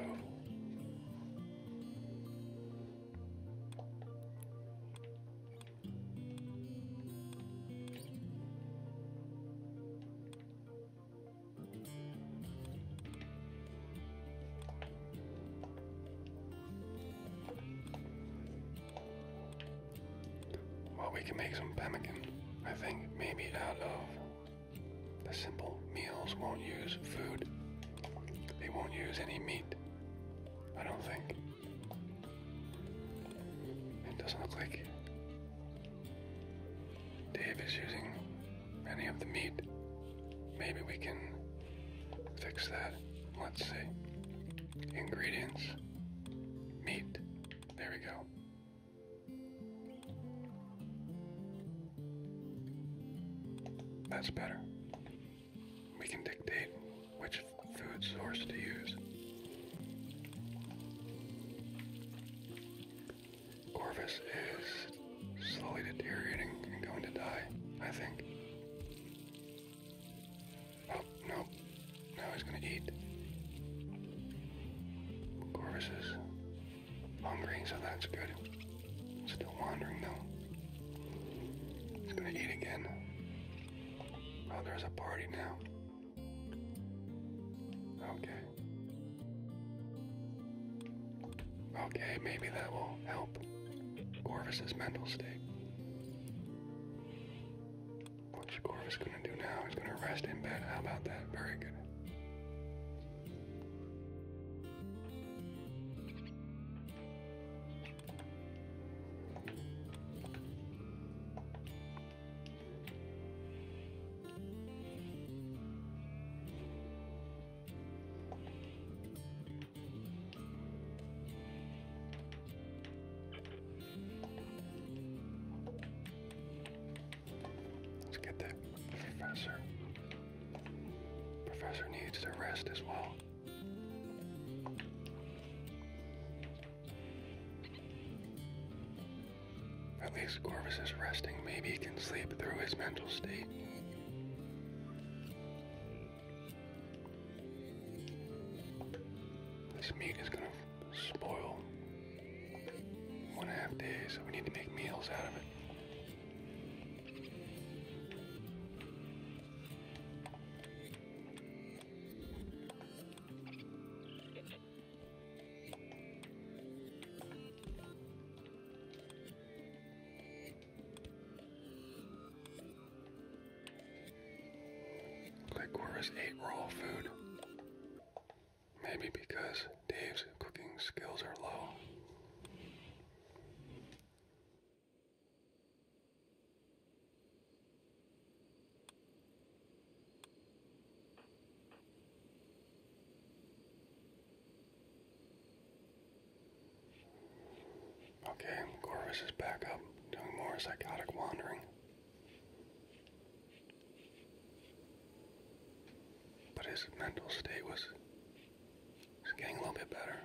Well, we can make some pemmican. I think maybe out of the simple meals won't use food. They won't use any meat. I don't think. It doesn't look like Dave is using any of the meat. Maybe we can fix that. Let's see. Ingredients. Meat. There we go. That's better. We can dictate which food source to use. Corvus is slowly deteriorating and going to die, I think. Oh, no. Now he's gonna eat. Corvus is hungry, so that's good. Still wandering though. He's gonna eat again. Oh, there's a party now. Okay. Okay, maybe that will help Corvus's mental state. What's Corvus gonna do now? He's gonna rest in bed. How about that? Very good. Let's get that professor. Professor needs to rest as well. At least Corvus is resting. Maybe he can sleep through his mental state. This meat is gonna spoil. One and a half days, we need to make meals out of it. Like, where raw food? Maybe because Dave's cooking skills are low. Okay, Gorvis is back up, doing more psychotic wandering. But his mental state was, was getting a little bit better.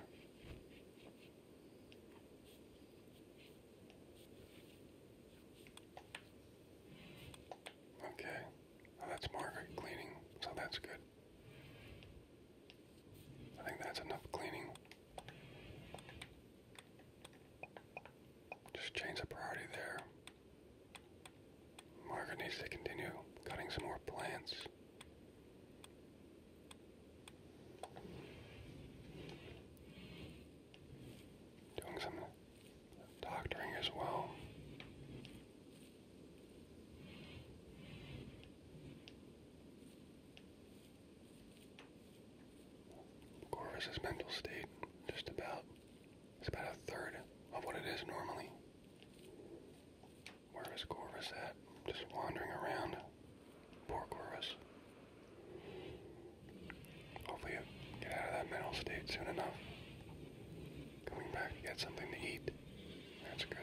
Okay, that's more cleaning, so that's good. I think that's enough cleaning. Just change the priority there. Margaret needs to continue cutting some more plants. Doing some doctoring as well. Corvus's mental state just about it's about a third of what it is normally. Where is Corvus at? Just wandering around, Poor Corvus. Hopefully you get out of that mental state soon enough. Coming back to get something to eat. That's good.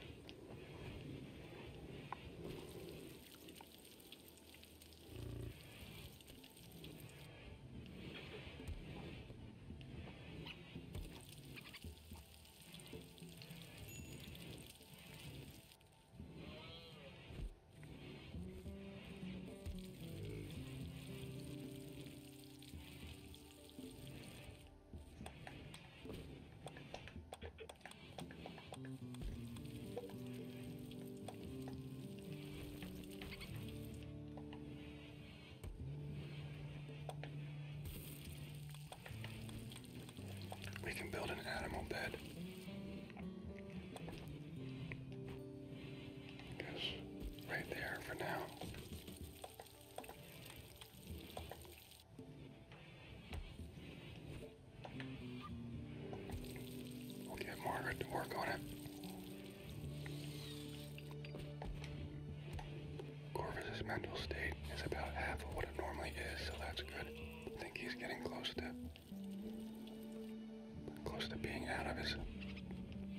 We can build an animal bed. Guess right there for now. We'll get Margaret to work on it. Corvus's mental state is about half of what it normally is, so that's good. I think he's getting close to Close to being out of his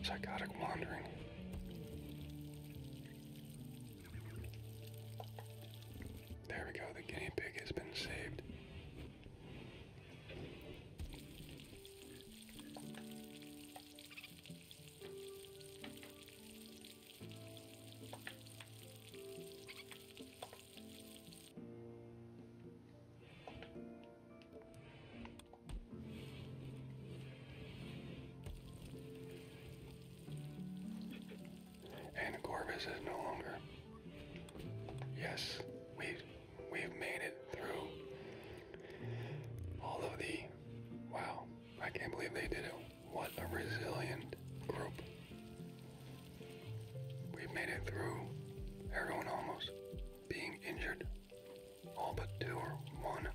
psychotic wandering. There we go, the guinea pig has been saved. And Corvus is no longer. Yes, we've we've made it through all of the wow, I can't believe they did it. What a resilient group. We made it through, everyone almost being injured. All but two or one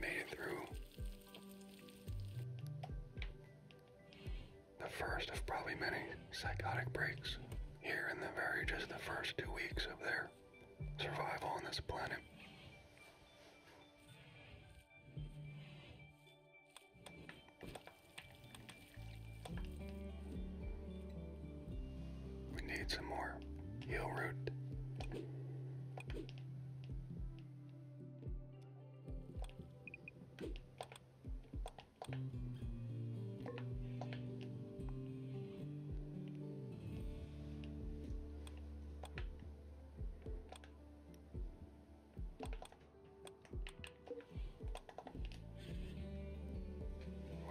made it through. The first of probably many psychotic breaks here in the very just the first two weeks of their survival on this planet. We need some more heel root.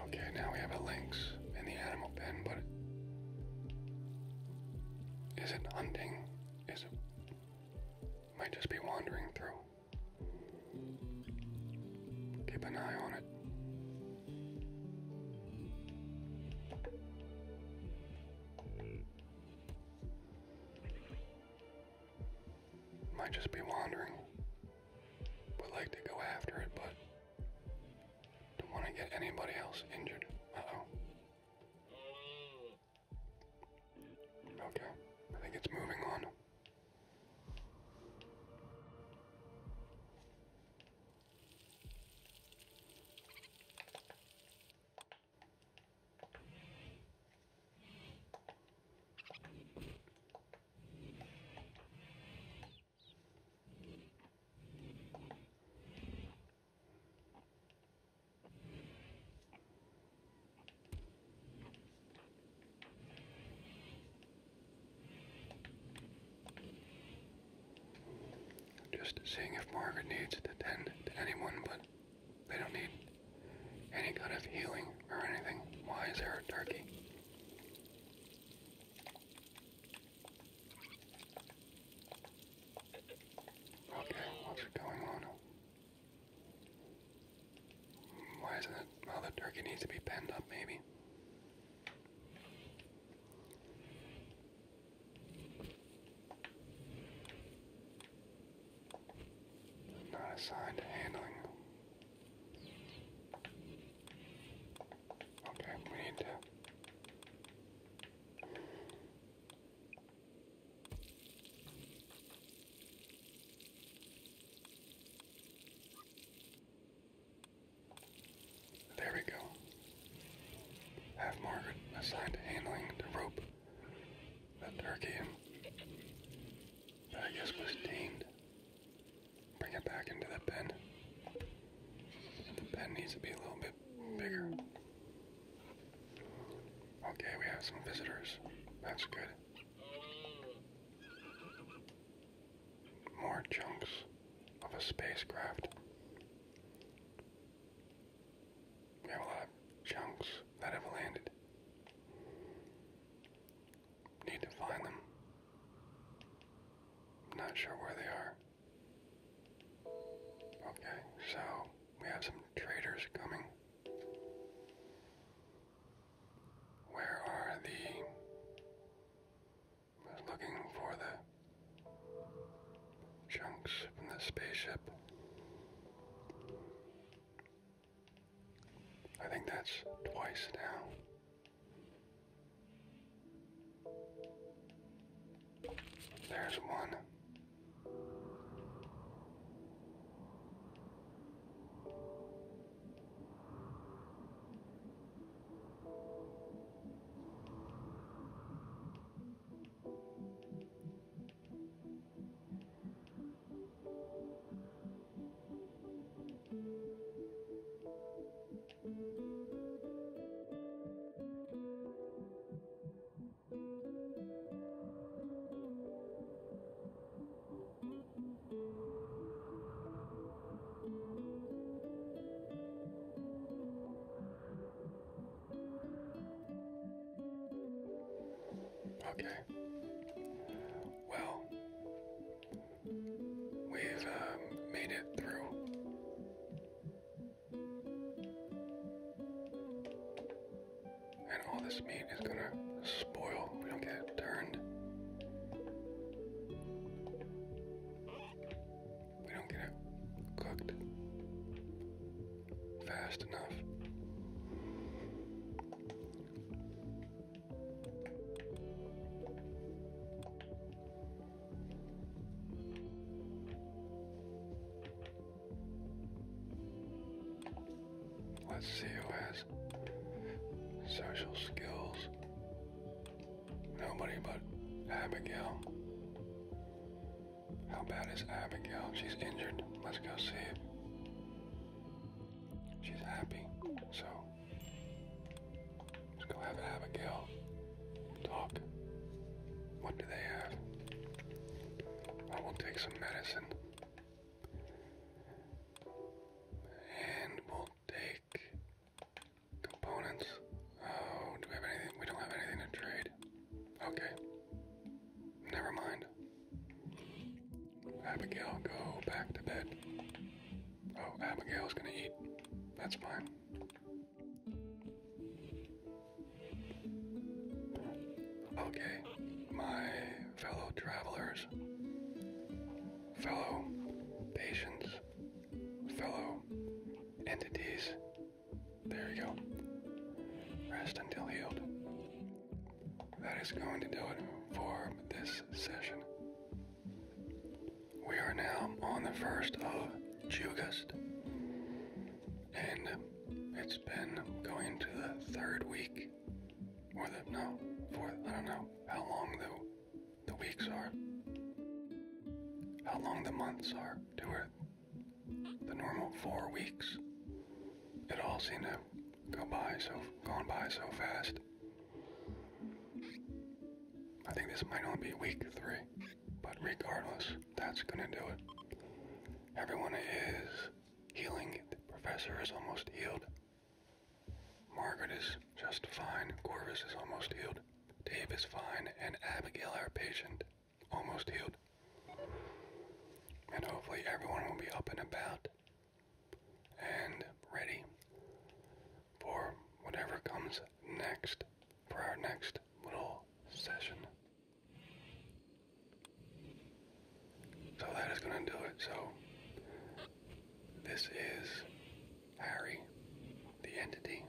Okay, now we have a lynx in the animal pen, but is it hunting? Is it might just be wandering through. Keep an eye on it. Might just be wandering would like to go after it, but don't want to get anybody else injured. Uh oh. Okay, I think it's moving on. Just seeing if Margaret needs to attend to anyone, but they don't need any kind of healing or anything. Why is there a turkey? Okay, what's going on? Why is it? Well, the turkey needs to be penned up, maybe. Not assigned handling. Okay, we need to. There we go. Have Margaret assigned to handling the rope that Turkey and I guess was tamed Bring it back into the pen. the pen needs to be a little bit bigger. Okay, we have some visitors. That's good. More chunks of a spacecraft. We have a lot chunks that have landed. Need to find them. I'm not sure where they are. Okay, so we have some traders coming. Where are the. I was looking for the chunks from the spaceship. I think that's twice now. There's one. Okay. Well, We've um, made it through. And all this meat is gonna spoil. We don't get turned. We don't get cooked fast enough. Let's see who has social skills. Nobody but Abigail. How bad is Abigail? She's injured. Let's go see. It. She's happy. So Let's go have Abigail talk. What do they have? I will take some medicine. And we'll take components. Oh, do we have anything? We don't have anything to trade. Okay. Never mind. Abigail, go back to bed. Oh, Abigail's gonna eat. That's fine. Okay, my fellow travelers, fellow patients, fellow entities. There you go. Rest until healed. That is going to do it for this session. We are now on the 1st of August, and it's been going to the third week, or the, no, fourth, I don't know how long the, the weeks are, how long the months are to the normal four weeks. It all seemed to go by so, gone by so fast. I think this might only be week three, but regardless, that's gonna do it. Everyone is healing. The professor is almost healed. Margaret is just fine. Corvus is almost healed. Dave is fine. And Abigail, our patient, almost healed. And hopefully everyone will be up and about and ready for whatever comes next for our next little session. So that is going to do it. So this is Harry, the entity,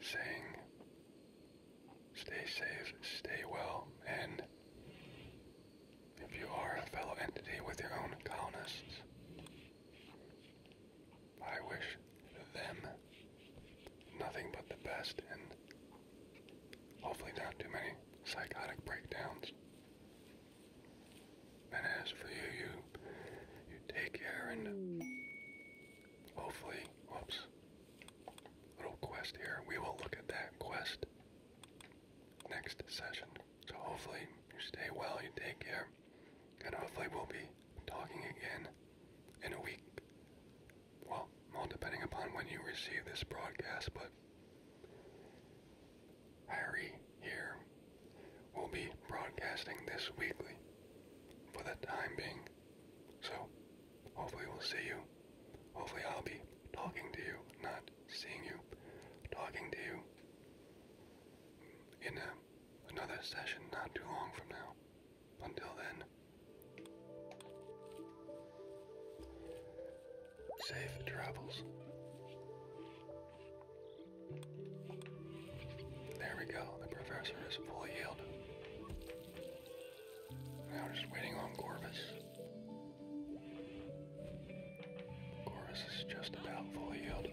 saying, Stay safe, stay well, and if you are a fellow entity with your own colonists. I wish them nothing but the best and hopefully not too many psychotic breakdowns. And for you, you, you take care and hopefully, whoops, little quest here. We will look at that quest next session. So hopefully you stay well, you take care, and hopefully we'll be talking again in a week. Well, all depending upon when you receive this broadcast, but Harry here will be broadcasting this weekly for the time being. So hopefully we'll see you Hopefully, I'll be talking to you, not seeing you, talking to you in a, uh, another session not too long from now. Until then, safe travels. There we go, the professor is full yield. Now just waiting on Corvus. The is just about full yield.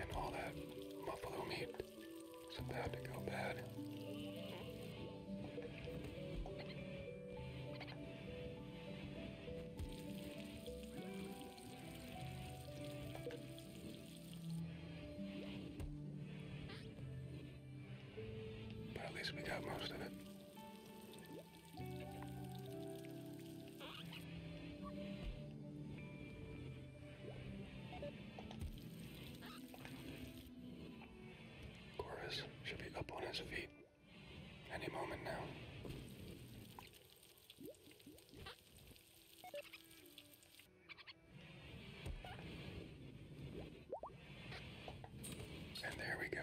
And all that buffalo meat is about to go bad. But at least we got most of it. Corvus should be up on his feet any moment now. And there we go.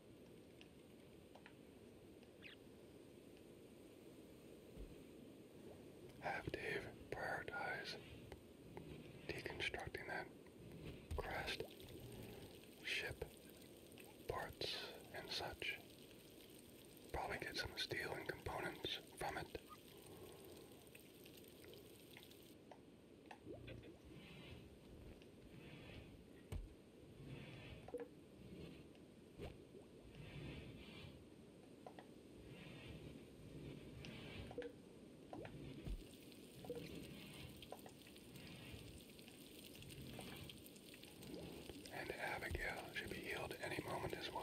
Have Dave prioritize deconstructing that crest, ship, parts, and such. Probably get some steel and components from it. And Abigail should be healed any moment as well.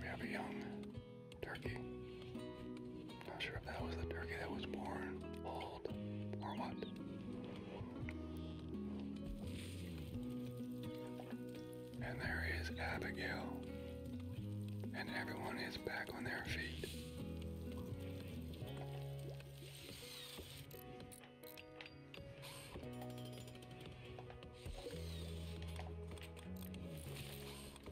We have a young turkey. Not sure if that was the turkey that was born old or what. And there is Abigail. And everyone is back on their feet.